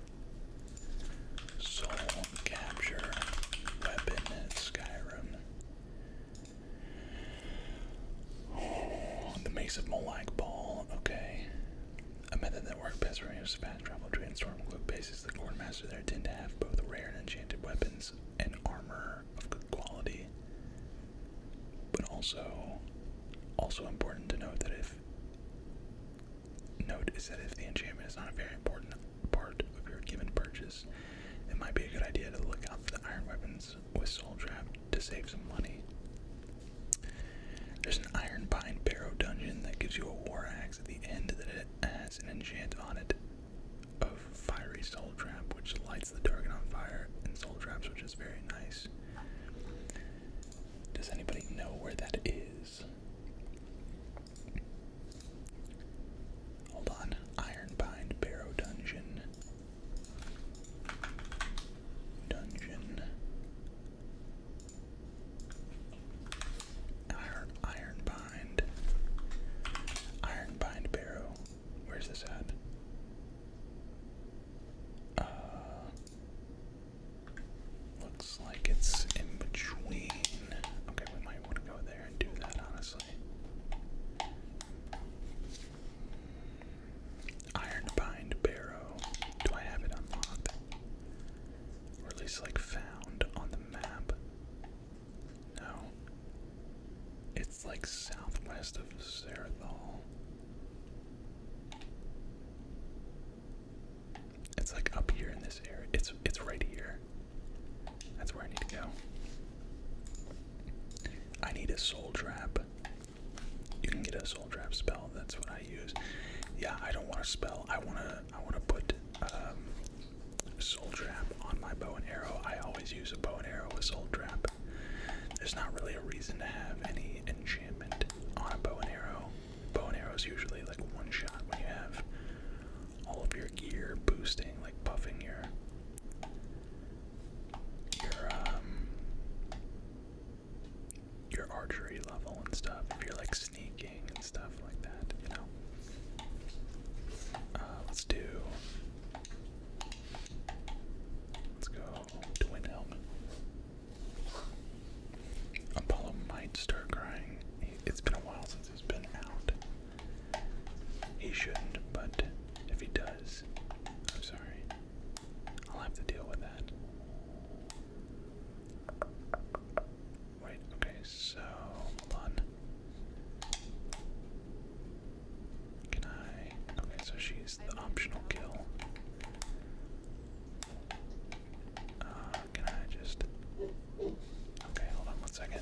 Soul capture weapon in Skyrim. Oh, the Mace of Molag Ball, okay. A method that works best for a was fast travel between Stormcloak bases. The quartermaster there tend to have both rare and enchanted weapons and armor of good quality. But also also important to note that if Note is that if the enchantment is not a very important part of your given purchase, it might be a good idea to look out for the iron weapons with soul trap to save some money. There's an iron pine barrow dungeon that gives you a war axe at the end that has an enchant on it of fiery soul trap, which lights the target on fire, and soul traps, which is very nice. Does anybody know where that is? Hold on. Ironbind Barrow Dungeon. Dungeon. Iron Ironbind. Ironbind Barrow. Where's this at? Uh, Looks like it's in between. Okay, we might want to go there and do that, honestly. Ironbind Barrow. Do I have it unlocked? Or at least, like, found on the map? No. It's, like, southwest of Serathol. It's like up here in this area. It's it's right here. That's where I need to go. I need a soul trap. You can get a soul trap spell. That's what I use. Yeah, I don't want to spell. I wanna I wanna put um, soul trap on my bow and arrow. I always use a bow and arrow with soul trap. There's not really a reason to have any enchantment on a bow and arrow. Bow and arrows usually like one shot when you have all of your gear boosting, like buffing your your um, archery level and stuff. If you're like sneaking and stuff like that, you know. Uh, let's do. Let's go Twin helmet. Apollo might start crying. It's been a while since he's been out. He shouldn't, but if he does, I'm sorry. I'll have to deal with that. Wait, okay, so hold on. Can I? Okay, so she's the optional kill. Uh, can I just. Okay, hold on one second.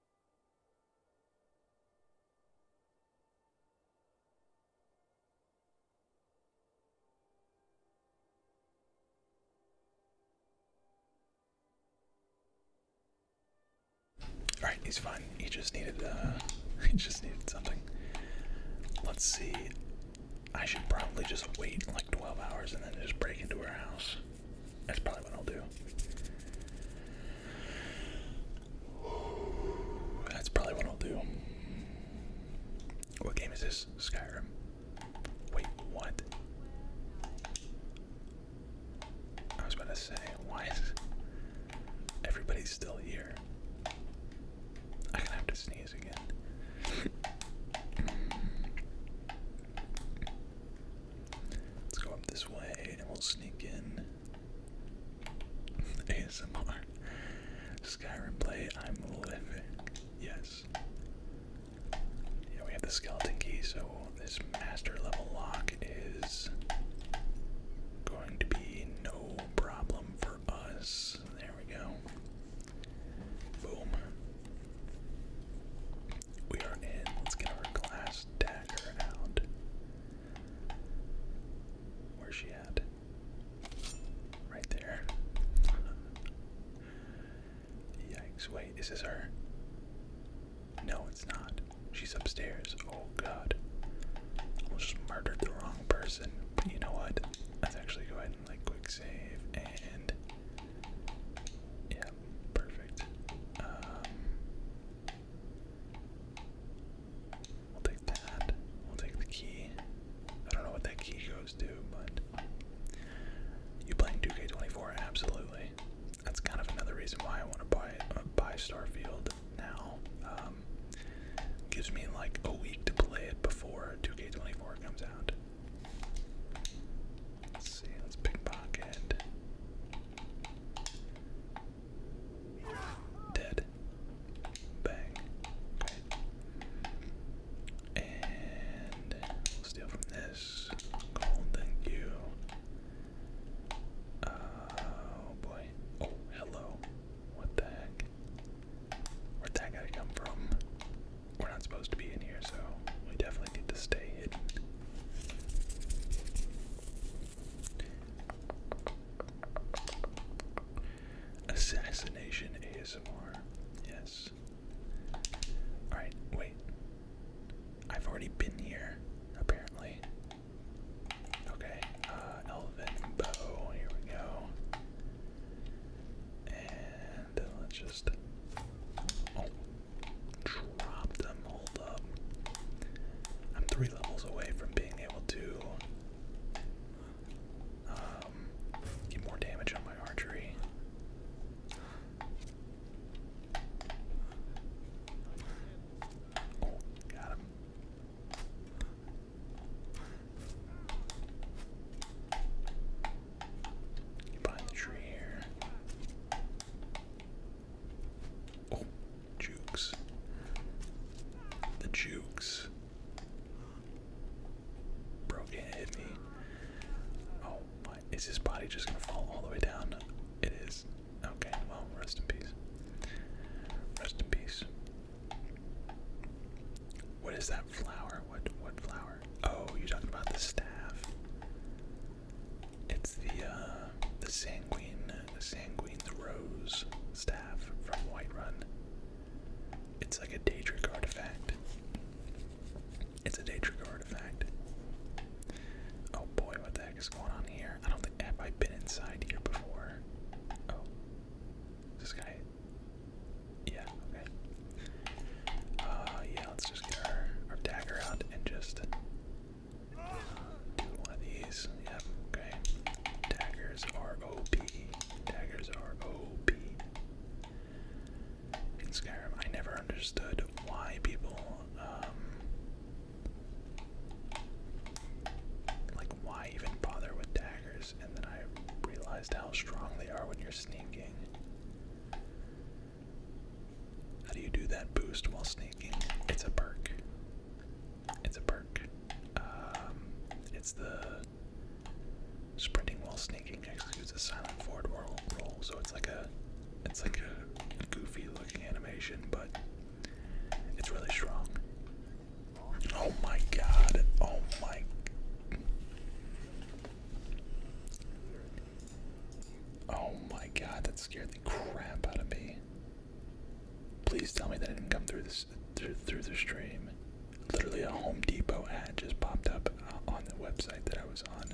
All right, he's fine. He just needed uh he just needed something. Let's see. I should probably just wait like 12 hours and then just break into her house. That's probably what I'll do. That's probably what I'll do. What game is this? Skyrim. Wait, what? I was about to say, why is still here? I'm gonna have to sneeze again. Let's go up this way and we'll sneak in. ASMR. Skyrim play, I'm living. Yes. Yeah, we have the skeleton key, so this master level lock is going to be no problem for us. There we go. Boom. We are in. Let's get our glass dagger out. Where's she at? Right there. Yikes. Wait, is this her? No, it's not. She's upstairs. Oh god. Almost murdered the wrong person. But you know what? Let's actually go ahead and like quick save and yeah, perfect. Um, We'll take that. We'll take the key. I don't know what that key goes to, but you playing 2K24? Absolutely. That's kind of another reason why I want to buy uh, buy Starfield now. Um, gives me like a week to play it before 2K24 comes out. Let's see. Let's pickpocket. Dead. Bang. And steal from this. Gold, thank you. Uh, oh boy. Oh, hello. What the heck? Where'd that guy come from? We're not supposed to be in here, so we definitely need to stay hidden. Assassination ASMR. Yes. Alright, wait. I've already been here, apparently. Okay, uh, Elven Bow, here we go. And let's just. Oh, drop them hold up. I'm three levels away from being able to um, get more damage on my archery. Oh, got him. behind the tree here. Oh, jukes. The jukes. Bro, it hit me. Oh my, is his body just gonna fall all the way down? It is. Okay, well, rest in peace. Rest in peace. What is that flower? What what flower? Oh, you're talking about the staff. It's the uh, the sanguine, the sanguine, the rose staff from Whiterun. It's like a Daedric artifact. It's a Daedric artifact. Oh boy, what the heck is going on here? I don't think i have been inside here before. Oh, this guy. Yeah. Okay. Uh, yeah. Let's just get our our dagger out and just one of these. Yep. Okay. Daggers are OP. Daggers are OP. In Skyrim, I never understood why people, um, like, why even bother with daggers, and then I realized how strong they are when you're sneaking. How do you do that boost while sneaking? It's a perk. It's a perk. Um, it's the sprinting while sneaking executes a silent forward roll, so it's like a, it's like a goofy looking animation, but it's really strong. Oh my god! Oh my. Oh my god! That scared the crap out of me. Please tell me that I didn't come through this through, through the stream. Literally a Home Depot ad just popped up uh, on the website that I was on.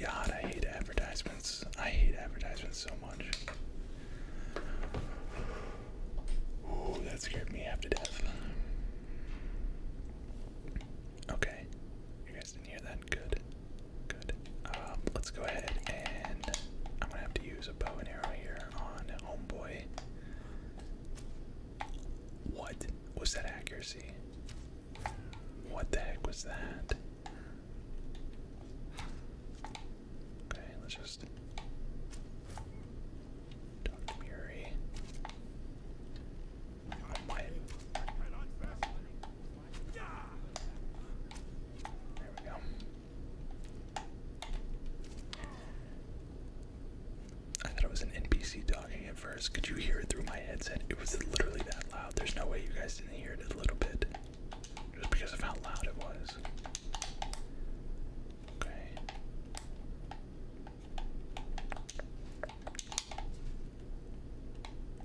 God, I hate advertisements. I hate advertisements so much. Ooh, that scared me half to death. Okay, you guys didn't hear that good, good, um, let's go ahead and I'm gonna have to use a bow and arrow here on Homeboy. What was that accuracy? What the heck was that? Okay, let's just Dr. Murray. I thought it was an NPC talking at first. Could you hear it through my headset? It was literally that loud. There's no way you guys didn't hear it a little bit. Just because of how loud it was. Okay.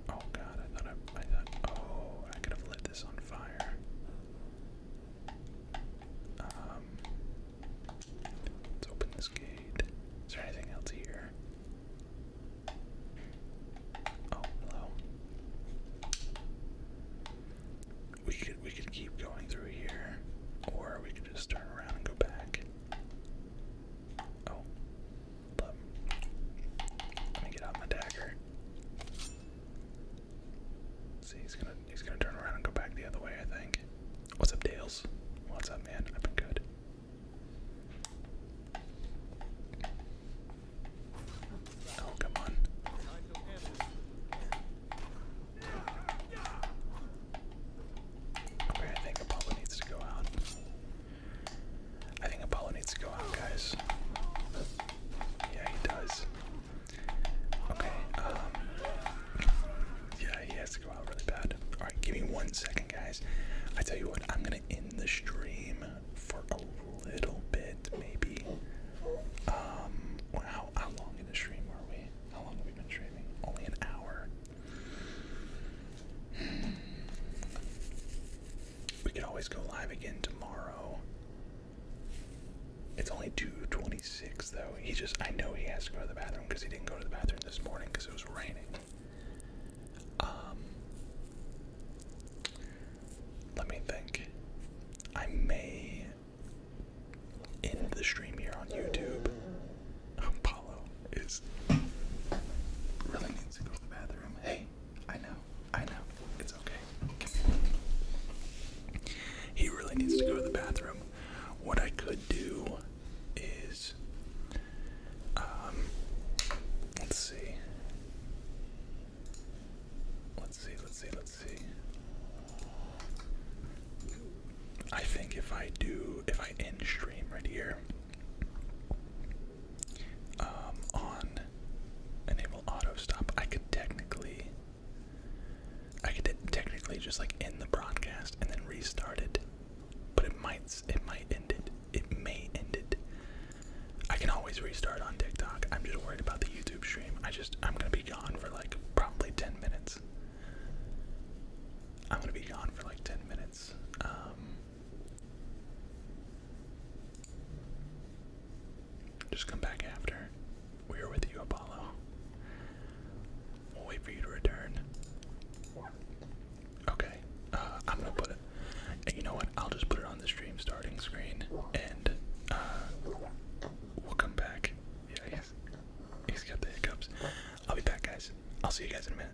Oh god, I thought I, I thought, oh, I could have lit this on fire. Um, let's open this gate. Is there anything else here? Oh, hello. We could we could keep going through here, or we could just turn around and go back. Oh, let me get out my dagger. See, he's gonna he's gonna turn around and go back the other way. I think. What's up, Dales? What's up, man? I've been good. Oh, come on. I think Apollo needs to go out. I think Apollo needs to go out, guys. Yeah, he does. Okay, um, Yeah, he has to go out really bad. Alright, give me one second, guys. I tell you what, I'm gonna end the stream for a little bit, maybe. Um, how, how long in the stream are we? How long have we been streaming? Only an hour. We could always go live again tomorrow. It's only 2:26 though. He just I know he has to go to the bathroom because he didn't go to the bathroom this morning because it was raining. Um Let me think. I may end the stream here on YouTube. Apollo is really needs to go to the bathroom. Hey, I know, I know, it's okay. He really needs to go to the bathroom. What I could do is, um, let's see. Let's see, let's see, let's see. I think if I do, if I end stream right here, um, on enable auto stop, I could technically, I could technically just like end the broadcast and then restart it, but it might, it might end it, it may end it. I can always restart on TikTok. I'm just worried about the YouTube stream. I just, I'm gonna be gone for like probably 10 minutes. I'm gonna be gone for like 10 minutes. Um, just come back after. We are with you, Apollo. We'll wait for you to return. Okay. Uh, I'm gonna put it. you know what? I'll just put it on the stream starting screen, and uh, we'll come back. Yeah, he's got the hiccups. I'll be back, guys. I'll see you guys in a minute.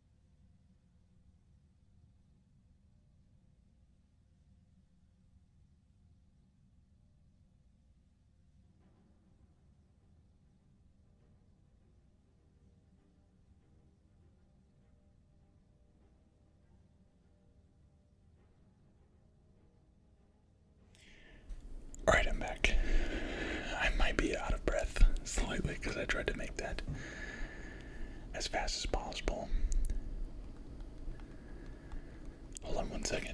All right, I'm back. I might be out of breath slightly because I tried to make that as fast as possible. Hold on one second.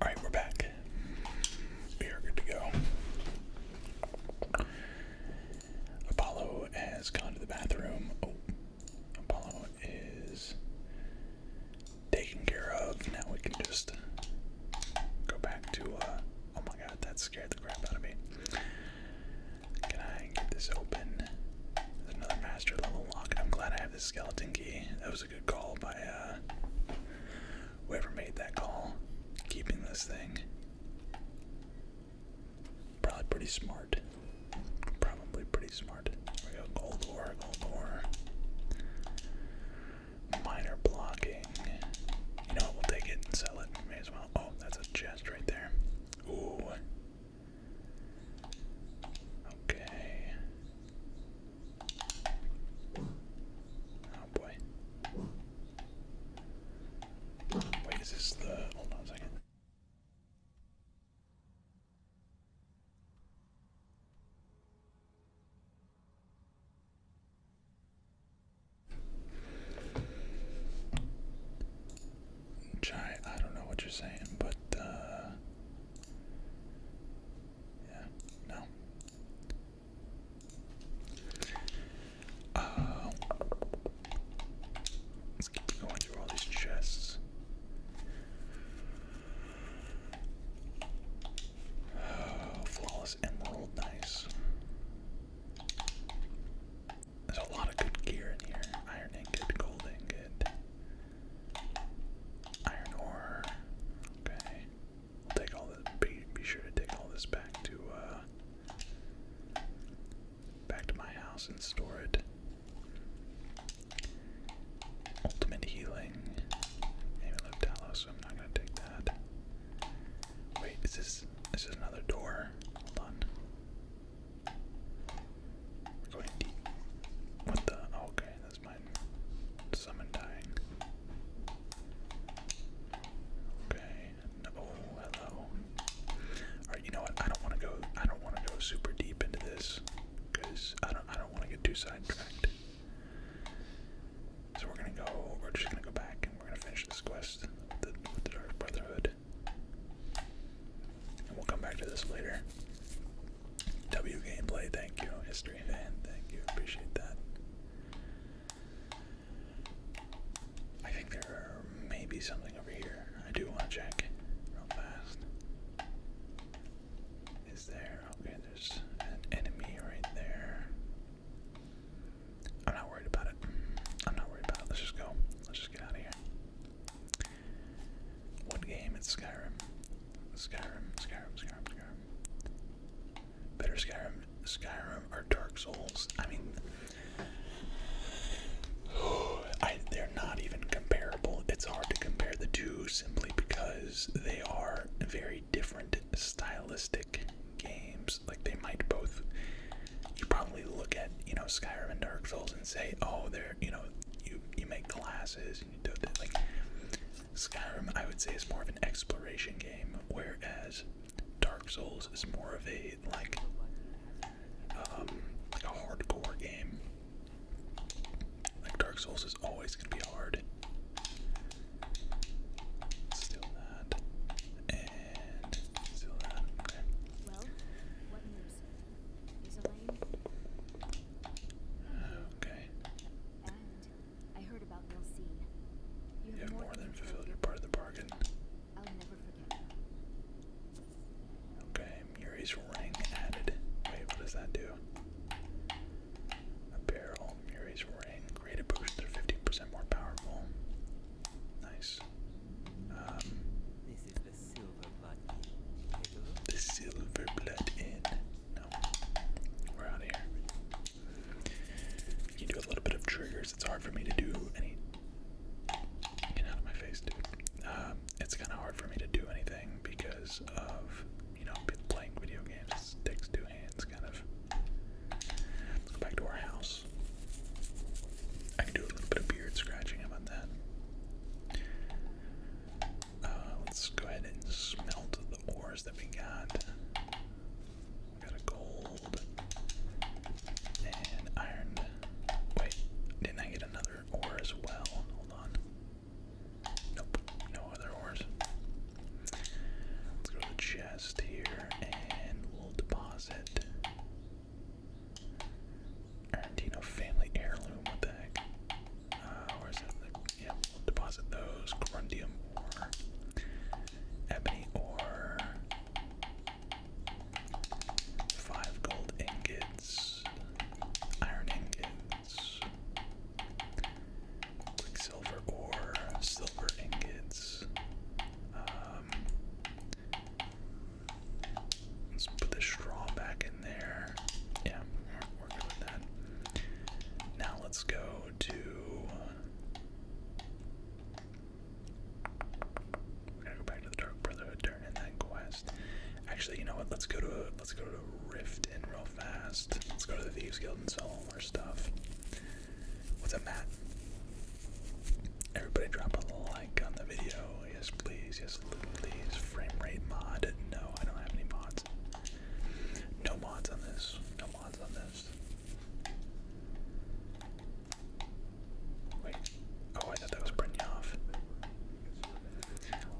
All right, we're back. We are good to go. Apollo has gone to the bathroom. Oh, Apollo is taken care of. Now we can just go back to. Uh, oh my god, that scared the crap out of me. Can I get this open? another master level lock. I'm glad I have this skeleton key. That was a good call by uh, whoever made that call. Keeping this thing. Probably pretty smart. Probably pretty smart. We go gold ore, gold ore. Minor blocking. You know what? We'll take it and sell it. May as well. Oh, that's a chest right there. Ooh, Okay. Oh boy. Wait, is this the. Hold on a second. Giant, I don't know what you're saying, but, uh, yeah, no. Uh, let's keep going through all these chests. Oh, flawless emerald, nice. There's a lot of good gear in here. Iron ingot, gold ingot, iron ore. Okay. We'll take all this be, sure to take all this back to uh, back to my house and store it. Ultimate healing. Maybe live tallow, so I'm not gonna take that. Wait, is this is another door? Hold on going deep. What the? Oh, okay, that's mine. Summoning. dying. Okay. oh, hello. Alright, you know what? I don't wanna go I don't wanna go super deep into this. Cause I don't I don't wanna get too sidetracked. So we're gonna go we're just gonna go back and we're gonna finish this quest with the Dark Brotherhood. And we'll come back to this later. W gameplay, thank you. History fan, thank you. Appreciate that. I think there may be something over here. I do want to check real fast. Is there? Okay, there's an enemy right there. I'm not worried about it. I'm not worried about it. Let's just go. Let's just get out of here. One game, is Skyrim. Skyrim, Skyrim, Skyrim, Skyrim. Better Skyrim, Skyrim, or Dark Souls. I mean, they're not even comparable. It's hard to compare the two simply because they are very different stylistic games. Like, they might both you probably look at you know Skyrim and Dark Souls and say, oh, they're you know you you make classes and you do that. Like Skyrim, I would say is more of an exploration game, whereas Dark Souls is more of a like um like a hardcore game. Like Dark Souls is always gonna be hard. Still that. And still that. Okay. You, have more than fulfilled your part of the bargain. Okay, Muri's ring added. Wait, what does that do? Apparel, Muri's ring. Create a boost that are 50% more powerful. Nice. Um, the silver blood in. No. We're out of here. You do a little bit of triggers. It's hard for me to do any. Get out of my face, dude. Um, it's kind of hard for me to do anything because of, you know, playing video games. takes two hands, kind of. Let's go back to our house. I can do a little bit of beard scratching. about that? Uh, let's go ahead and smelt the ores that we got. We got a gold and iron. Wait, did I get another ore as well? Hold on. Nope, no other ores. Let's go to the chest here and we'll deposit Arantino uh, family heirloom, what the heck? Uh, yeah, deposit those. Corundium ore. Ebony ore. Five gold ingots. Iron ingots. Quicksilver ore. Silver ingots. Um, Let's put the straw back in there. Yeah, we with that. Now let's go to. We're to go back to the Dark Brotherhood Turn during that quest. Actually, you know what? Let's go to let's go to Rift in real fast. Let's go to the Thieves Guild and sell all our stuff. What's up, Matt? Everybody drop a like on the video. Yes, please. Yes, please. Frame rate mod. No, I don't have any mods. No mods on this. No mods on this. Wait. Oh, I thought that was Brynjolf.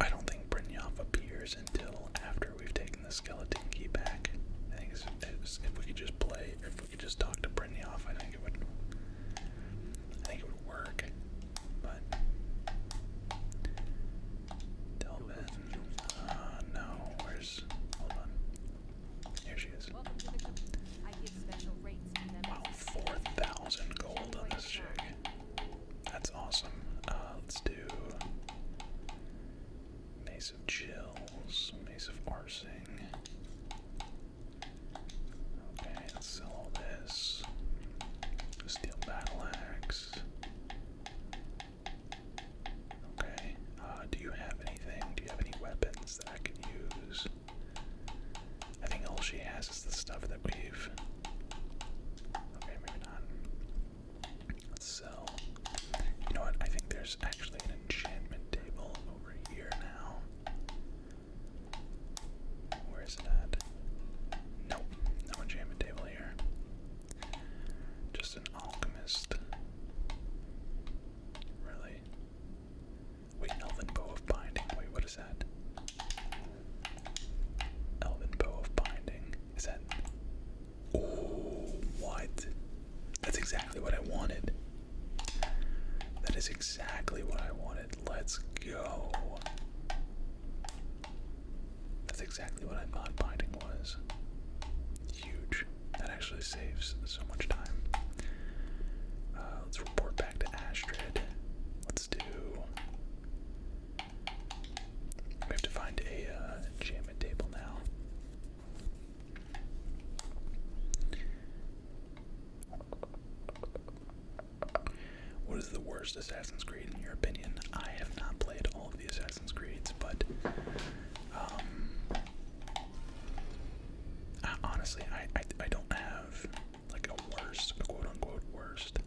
I don't think Brynjolf appears until after we've taken the skeleton key back. I think if we could just play, if we could just talk to Brynjolf, I do I think it would work, but. Delvin. Uh, no. Where's? Hold on. Here she is. Wow, four thousand gold on this jig. That's awesome. Uh, let's do Mace of Chills, Mace of Arsing. Okay, let's sell all this. Steel battle axe. Okay, uh, do you have anything? Do you have any weapons that I can use? I think all she has is the stuff that we've. Okay, maybe not. Let's sell. You know what? I think there's actually an enchantment table over here now. Where is it at? Nope, no enchantment table here. Just an alchemist. Really? Wait, Elven Bow of Binding. Wait, what is that? Elven Bow of Binding. Is that. Oh, what? That's exactly what I wanted. That is exactly what I wanted. Let's go. That's exactly what I thought binding was. Huge. That actually saves so much time. Uh, let's report back to Astrid. Let's do. We have to find a uh, enchantment table now. What is the worst Assassin's Creed in your opinion? I have not played all of the Assassin's Creeds, but um, honestly, I, I I don't have like a worst, a quote unquote worst.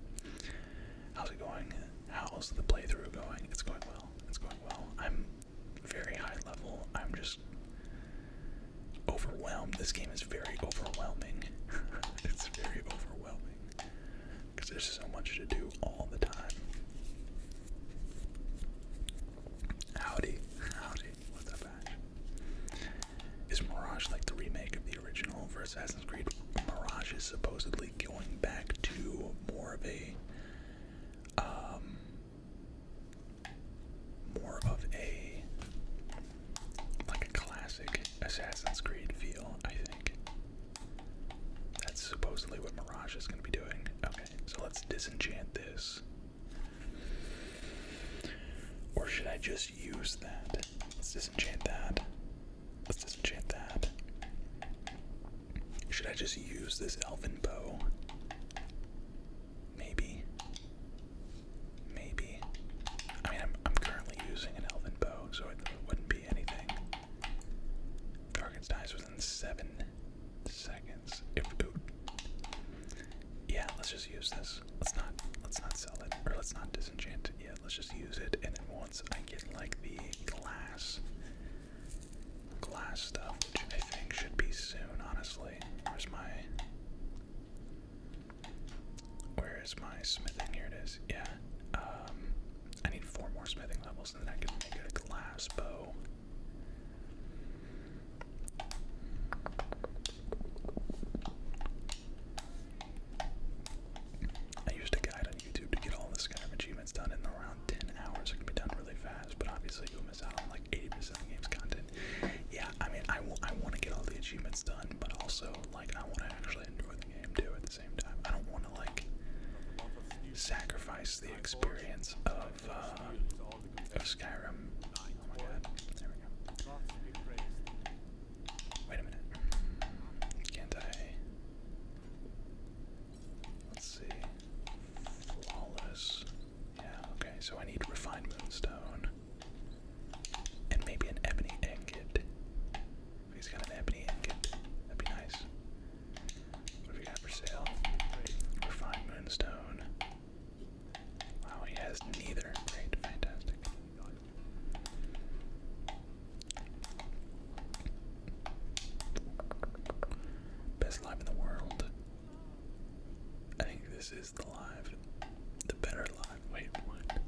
How's it going? How's the playthrough going? It's going well. It's going well. I'm very high level. I'm just overwhelmed. This game is very overwhelming. it's very overwhelming because there's so much to do all the time. Howdy, howdy, what's up, Ash? Is Mirage like the remake of the original for Assassin's Creed? Mirage is supposedly going back to more of a, um, more of a like a classic Assassin's Creed feel, I think. That's supposedly what Mirage is going to be doing. Okay, so let's disenchant this. Or should I just use that? Let's disenchant that. Let's disenchant that. Should I just use this elven bow? Maybe. Maybe. I mean, I'm, I'm currently using an elven bow, so it wouldn't be anything. Target's dies within seven seconds. yeah, let's just use this. Let's not let's not sell it or let's not disenchant it yet. Let's just use it, and then once I get like the glass glass stuff, which I think should be soon. Honestly, where's my where is my smithing? Here it is. Yeah. Um, I need four more smithing levels, and then I can make a glass bow. I used a guide on YouTube to get all the Skyrim achievements done in around 10 hours. It can be done really fast, but obviously you'll miss out on like 80% of the game's content yeah, I mean, I, I want to get all the achievements done, but also, like, I want to actually enjoy the game too at the same time. I don't want to, like, sacrifice the experience of, uh, of Skyrim. Oh Wait a minute. Can't I? Let's see. Flawless. Yeah, okay, so I need refined moonstone. And maybe an ebony ingot. he's got an ebony ingot, that'd be nice. What have for sale? Refined moonstone. Wow, he has neither. Great, fantastic. Best life in the world. I think this is the live, the better live. Wait, what?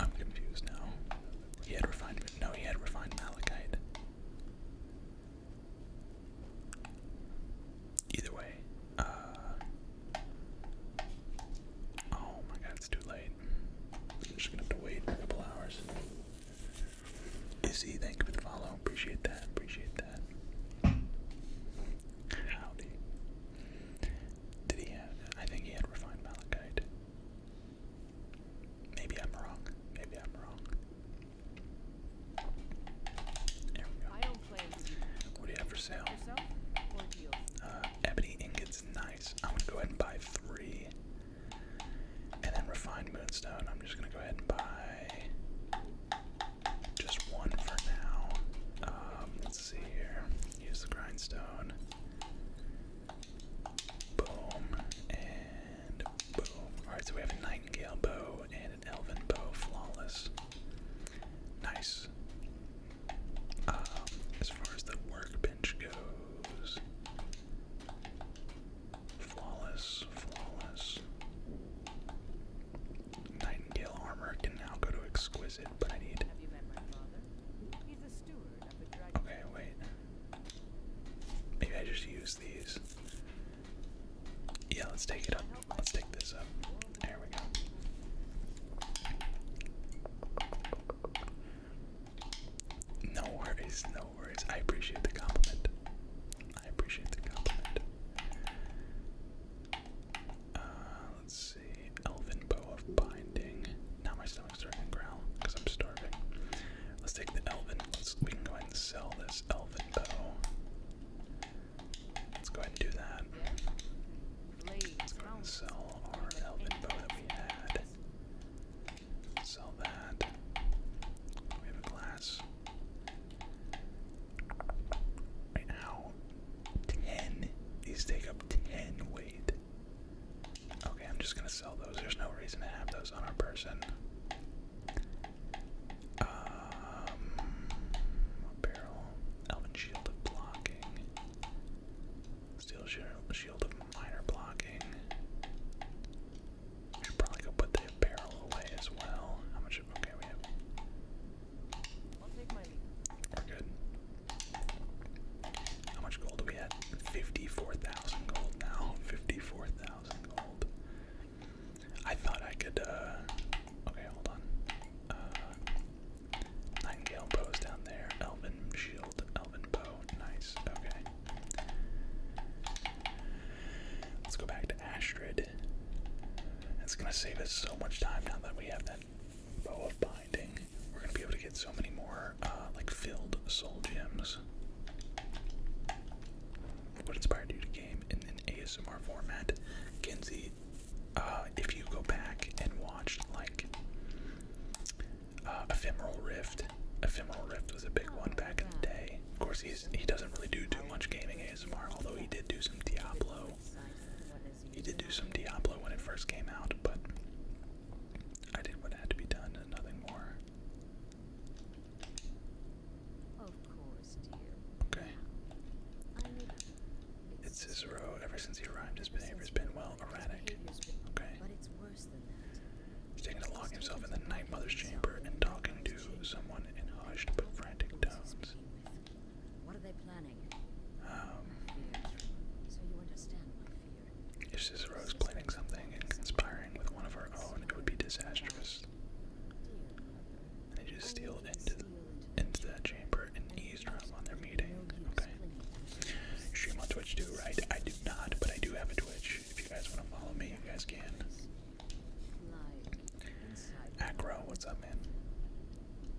I'm confused now. He had refined, no, he had refined malachite. Either way, uh, oh my god, it's too late. I'm just gonna have to wait a couple hours. Izzy, thank you for the follow. Appreciate that. Appreciate that. Howdy. Did he have. I think he had refined malachite. Maybe I'm wrong. Maybe I'm wrong. There we go. What do you have for sale? Uh, ebony ingots, nice. I'm gonna go ahead and buy three. And then refined moonstone, I'm just gonna go ahead and buy just one for now. Um, let's see here. Use the grindstone. Boom. And boom. Alright, so we have a nightingale bow and an elven bow. Flawless. Nice. Um, as far as the workbench goes. Flawless, flawless. Nightingale armor can now go to exquisite, but I need. Okay, wait. Maybe I just use these. Yeah, let's take it up. Let's take this up. There we go. No worries, no worries. I appreciate the compliment. I appreciate the compliment. Uh, let's see. Elven Bow of Binding. Now my stomach's starting to growl because I'm starving. Let's take the Elven. Let's, we can go ahead and sell this Elven Bow. Let's go ahead and do that. Let's go ahead and sell our Elven Bow that we had. Sell that. We have a glass right now. Ten. These take up ten weight. Okay, I'm just gonna sell those. There's no reason to have those on our person. Um, a elven shield of blocking, steel shield of minor blocking. should probably go put the barrel away as well. How much? Okay, we have we're good. How much gold do we have? 54,000 gold now. 54,000 gold. I thought I could, uh. Okay, hold on. Uh. bows down there. Elven shield. Elven bow. Nice. Okay. Let's go back Astrid. it's gonna save us so much time now that we have that bow of binding. We're gonna be able to get so many more uh, like filled soul gems. What inspired you to game in an ASMR format, Kenzie? Uh, if you go back and watch like uh, Ephemeral Rift, Ephemeral Rift was a big one back in the day. Of course, he's he doesn't really do too much gaming ASMR, although he did do some Diablo he did do some Diablo when it first came out, but I did what had to be done and nothing more. Okay. It's Cicero. Ever since he arrived, his behavior has been well erratic. Okay. But it's worse than that. He's taking to lock himself in the Night Mother's chamber and talking to someone in hushed but frantic tones. What are they planning? Um, so you understand my fear. If Cicero is planning something and conspiring with one of our own, it would be disastrous. they just steal into, into that chamber and eavesdrop on their meeting. Okay. Stream on Twitch too, right? I do not, but I do have a Twitch. If you guys want to follow me, you guys can. Acro, what's up, man?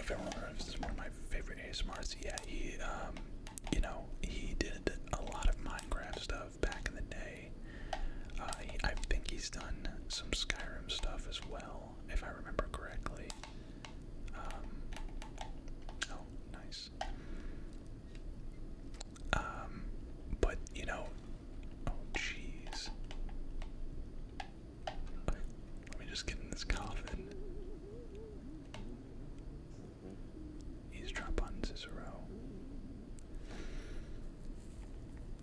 everyone remembers, this is one of my favorite ASMRs. Yeah, he, um, you know, he did a lot of Minecraft stuff back in the day. Uh, I think he's done some Skyrim stuff as well, if I remember correctly. Um, oh, nice. Um, but you know, oh jeez. Let me just get in this coffin. Eavesdrop Cicero.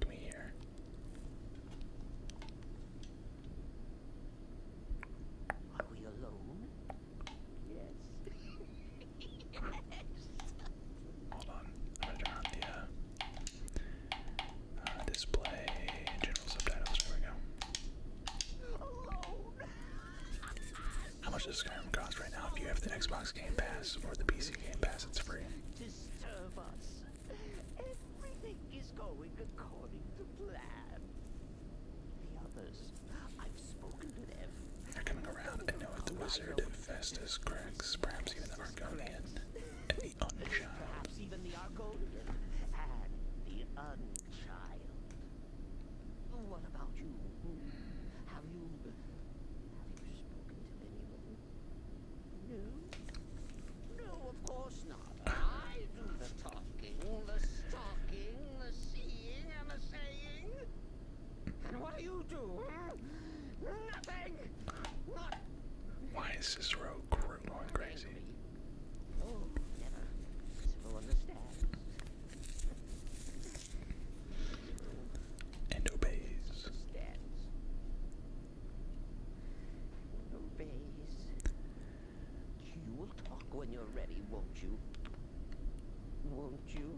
Can we Are we alone? Yes. Hold on, I'm gonna turn on the uh, uh, display general subtitles. There we go. How much does Skyrim cost right now? If you have the Xbox Game Pass or the PC Game Pass, it's free i They're coming around. I know The wizard, Festus, Grex, Perhaps even the Argonian and the Unchild. What about you? Have you have you spoken to anyone? No. No, of course not. I do the talking, the stalking, the seeing, and the saying. And what do you do? Nothing. Why is this road going crazy? Oh, and obeys. Obeys. You will talk when you're ready, won't you? Won't you?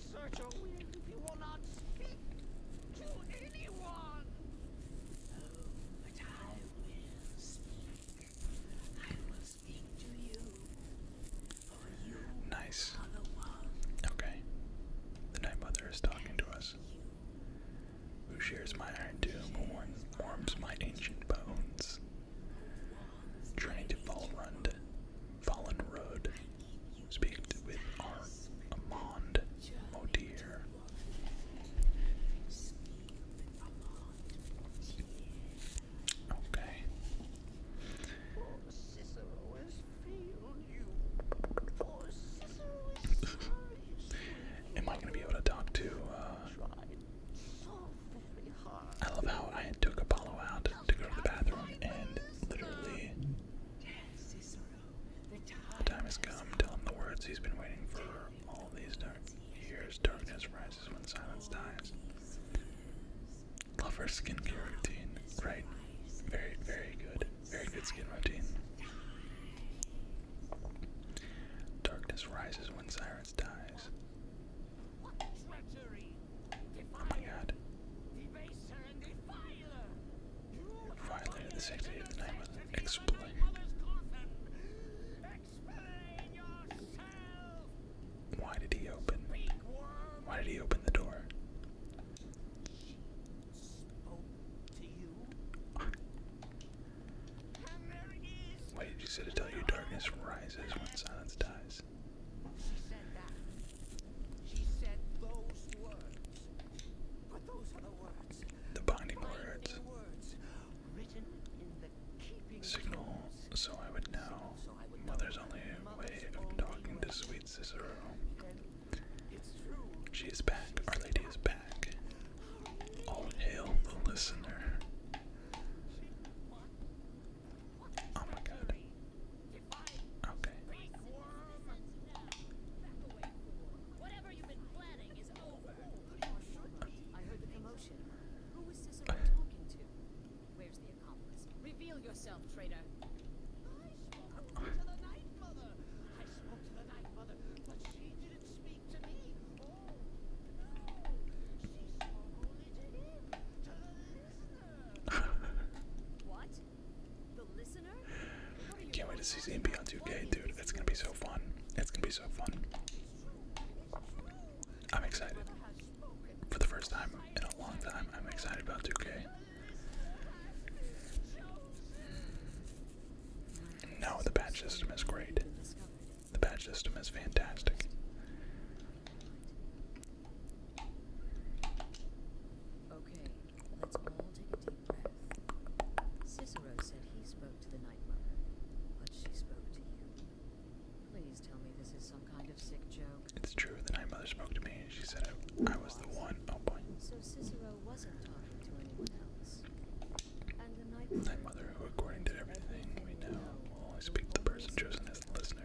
exert your will if you will not speak to anyone. nice. Okay. The Night Mother is talking to us. Who shares my iron tomb, warms, my ancient bones? Trying to fall run fallen road. Speak with our Amand Okay. Am I gonna be able to talk to? Uh, I love how I took Apollo out to go to the bathroom and literally the time has come. Tell him the words he's been waiting for all these dark years. Darkness rises when silence dies. Love skincare routine. Right. Very, very good. Very good skin routine. Darkness rises when silence dies. Oh my god. Fire later this of the night explain. Why did he open? Why did he open the door? Wait, you said to tell you darkness rises when silence dies. She said those words. But those are the words. The binding words. words written in the keeping Signal so I would know. Mother's only way of talking to sweet Cicero. It's true. She is back. Our Lady is back. All hail the listener. Oh my god. Okay. I heard the commotion. Who was Cicero talking to? Where's the accomplice? Reveal yourself, traitor. I spoke to the night mother. but she didn't speak to me. what? Can't wait to see ZMB on 2K, dude. That's gonna be so fun. It's gonna be so fun. I'm excited. For the first time in a long time, I'm excited about 2K. No, the badge system is great. The badge system is fantastic. Once more, take a deep breath. Cicero said he spoke to the Night Mother, but she spoke to you. Please tell me this is some kind of sick joke. It's true. The Night Mother spoke to me, and she said I, was the one. Oh boy. So Cicero wasn't talking to anyone else. Night Mother, who, according to everything we know, will only speak to the person chosen as the listener.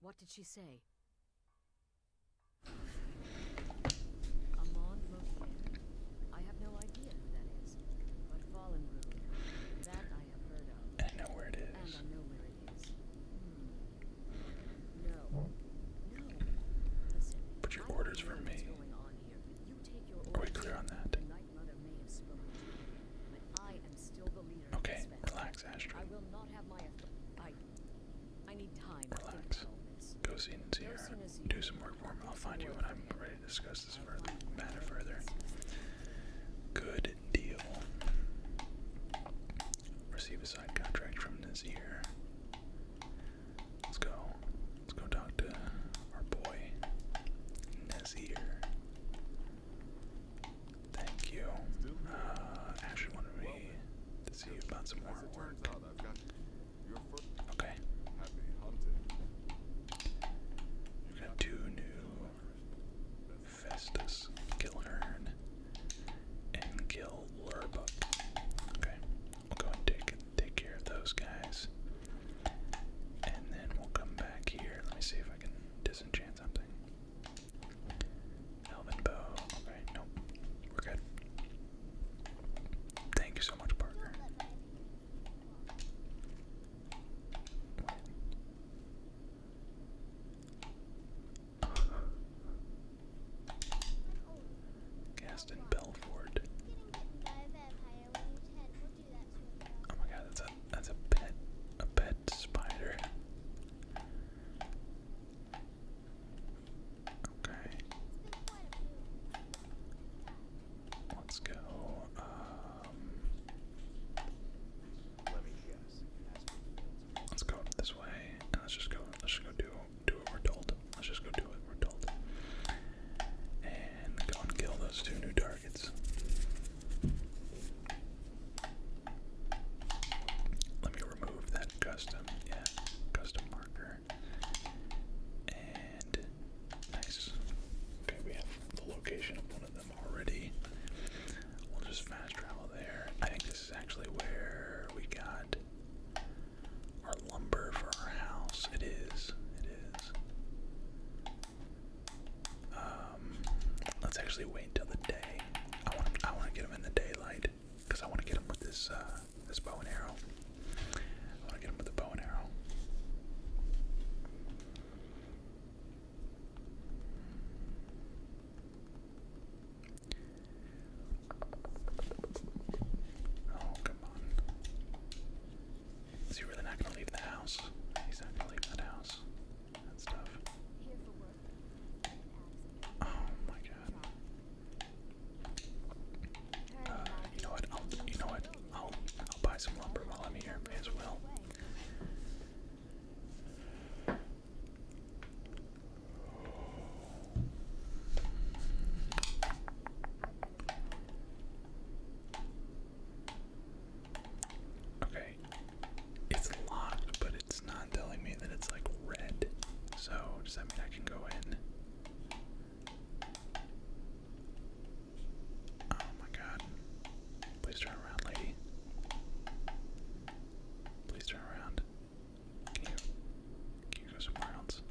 What did she say? Amon Mokier? I have no idea who that is. But Fallen Rune, that I have heard of. I know where it is. And I know where it is. Hmm. No. Listen. Put your orders for me. Are we clear on that? Okay, relax, Astrid. I will not have my I I need time. Relax. Go see and Do some work for me. I'll find you when I'm ready to discuss this matter further. Good deal. Receive a side contract from this year. Let's go. Let's go talk to our boy Nazir. Thank you. Uh, Ashley to see about some more work. Okay. we got two new Festus, Gilhern, and Gil Okay, we'll go and take, take care of those guys. And then we'll come back here. Let me see if I can disenchant something. Elven bow. Alright, nope. We're good. Thank you so much, Parker. Gaston Belford. Oh my god, that's that's a pet a pet spider. Okay. Let's go. Um, Let us go this way let's just go let's just go do do what we're told. Let's just go do what we're told. And go and kill those two new dark let me remove that custom, yeah, custom marker. And nice. Okay, we have the location of one of them already. We'll just fast travel there. I think this is actually where we got our lumber for our house. It is. It is. Um, let's actually wait until the day. I want I want to get him in the daylight because I want to get him with this uh, this bow and arrow. I want to get him with the bow and arrow. Oh come on! Is he really not gonna leave the house? He's not gonna leave that house and stuff. Oh my god. Uh, you know what? you know what? I'll I'll buy some lumber while I'm here as well. Okay. It's locked, but it's not telling me that it's like red. So does that mean I can go in? Oh my god. Please turn around, lady. Please turn around. Can you can you go somewhere else?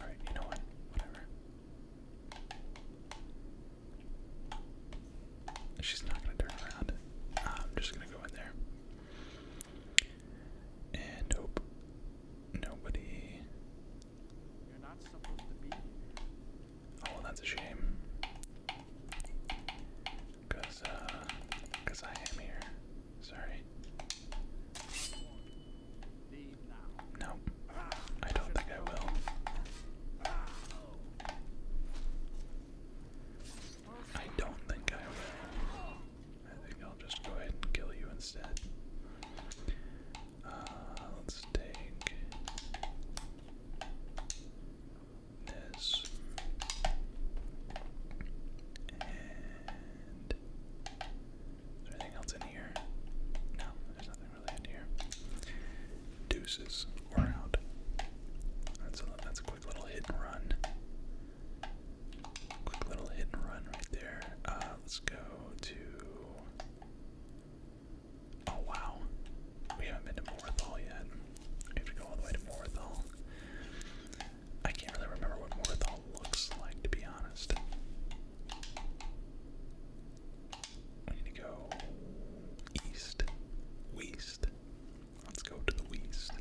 Alright, you know what? Whatever. She's not gonna turn around. I'm just gonna go in there. And hope nobody. You're not supposed to be Oh, that's a shame. Cause, uh, cause I am here. Sorry. No, I don't think I will. Ah. I don't think I will. I think I'll just go ahead and kill you instead. Uh, let's take this is there anything else in here? No, there's nothing Deuces, or out. That's a quick little hit and run. Quick little hit and run right there. Uh, let's go to. Oh wow, we haven't been to Morthal yet. have to go all the way to Morthal. I can't really remember what Morthal looks like, to be honest. I need to go east. West. Let's go to the west.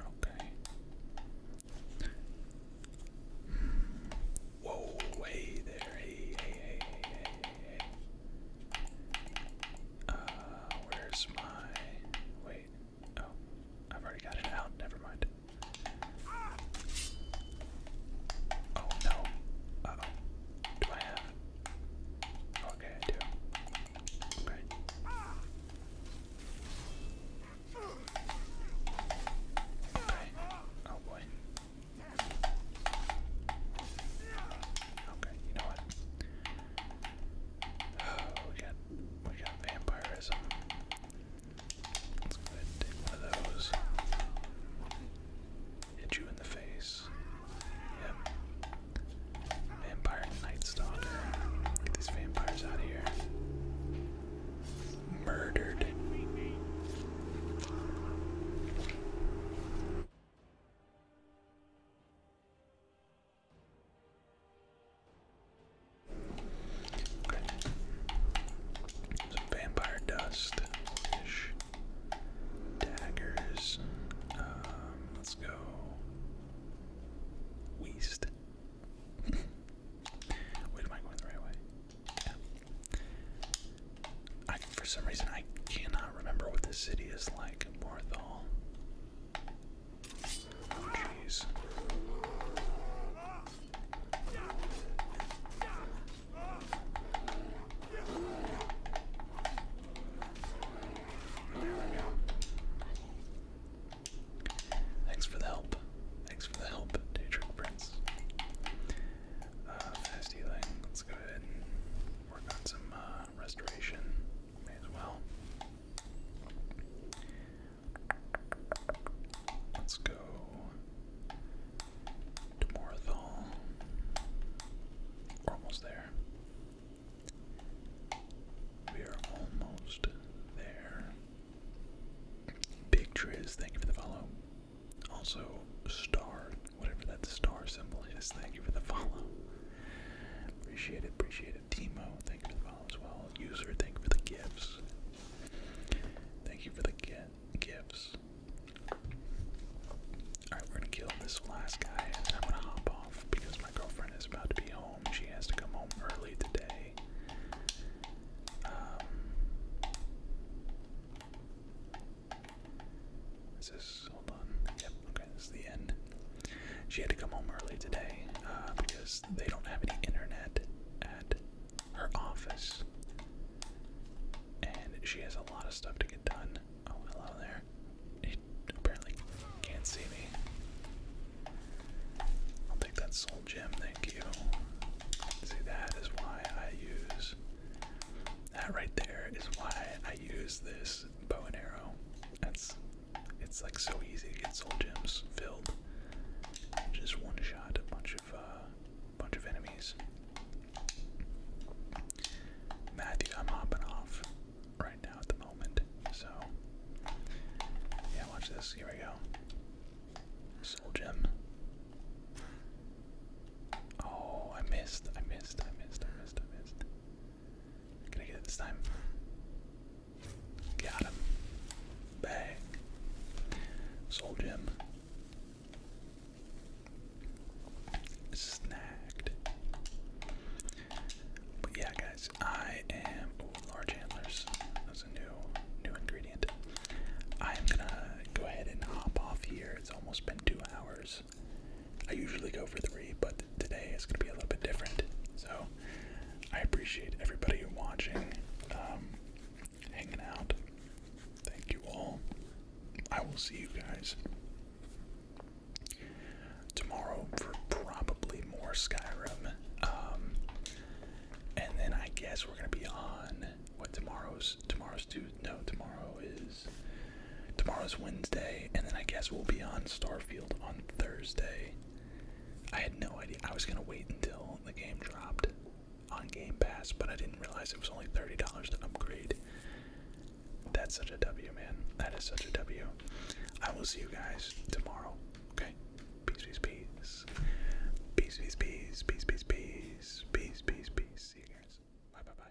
Okay. Whoa, hey there, hey, hey, hey, hey. Uh, where's my, wait, oh, I've already got it out, never mind. Oh no. Uh oh. Do I have? Okay, I do. Okay. Okay. Oh boy. Okay, you know what? Oh, we we got vampirism. Let's go ahead and take one of those. Hit you in the face. Vampire Night Stalker. Get these vampires out of here. Murdered vampire dust. Daggers. Um, let's go. Weast. Wait, am I going the right way? I, for some reason, I cannot remember what the city is like. Morthal. Oh, jeez. Thanks for the help. Thanks for the help, Daedric Prince. Uh, fast healing. Let's go ahead and work on some uh, restoration. May as well. Let's go to Morthal. almost there. We are almost there. Big Triz, thank you for the follow. Also, star, whatever that star symbol is, thank you for the follow. Appreciate it, appreciate it. Timo, thank you for the follow as well. User, thank you for the gifts. Thank you for the get gifts. Alright, we're gonna kill this last guy I'm gonna hop off because my girlfriend is about to be home. She has to come home early today. Um Is hold on? Yep, okay, this is the end. She had to come home early today, uh, because they don't have any internet at her office. And she has a lot of stuff to get done. Oh, hello there. apparently can't see me. I'll take that soul gem, thank you. See, that is why I use. That right there is why I use this bow and arrow. That's. It's like so easy to get soul gems filled. Just one shot, a bunch of uh, bunch of enemies. Matthew, I'm hopping off right now at the moment. So yeah, watch this. Here we go. Soul gem. Oh, I missed. I missed. I missed. I missed. I missed. Can I get it this time? Got him. Bang. Sold him. Snagged. But yeah, guys, I am large handlers. That's a new new ingredient. I'm gonna go ahead and hop off here. It's almost been two hours. I usually go for three, but today it's gonna be a little bit different. So I appreciate everybody watching. Um, hanging out. Thank you all. I will see you guys tomorrow for probably more Skyrim. Um, and then I guess we're gonna be on what tomorrow's tomorrow's due no tomorrow is tomorrow's Wednesday and then I guess we'll be on Starfield on Thursday. I had no idea I was gonna wait until the game dropped on Game Pass, but I didn't realize it was only $30 to upgrade. That's such a W, man. That is such a W. I will see you guys tomorrow. Okay? Peace, peace, peace. Peace, peace, peace. Peace, peace, peace. Peace, peace, peace. See you guys. Bye, bye, bye.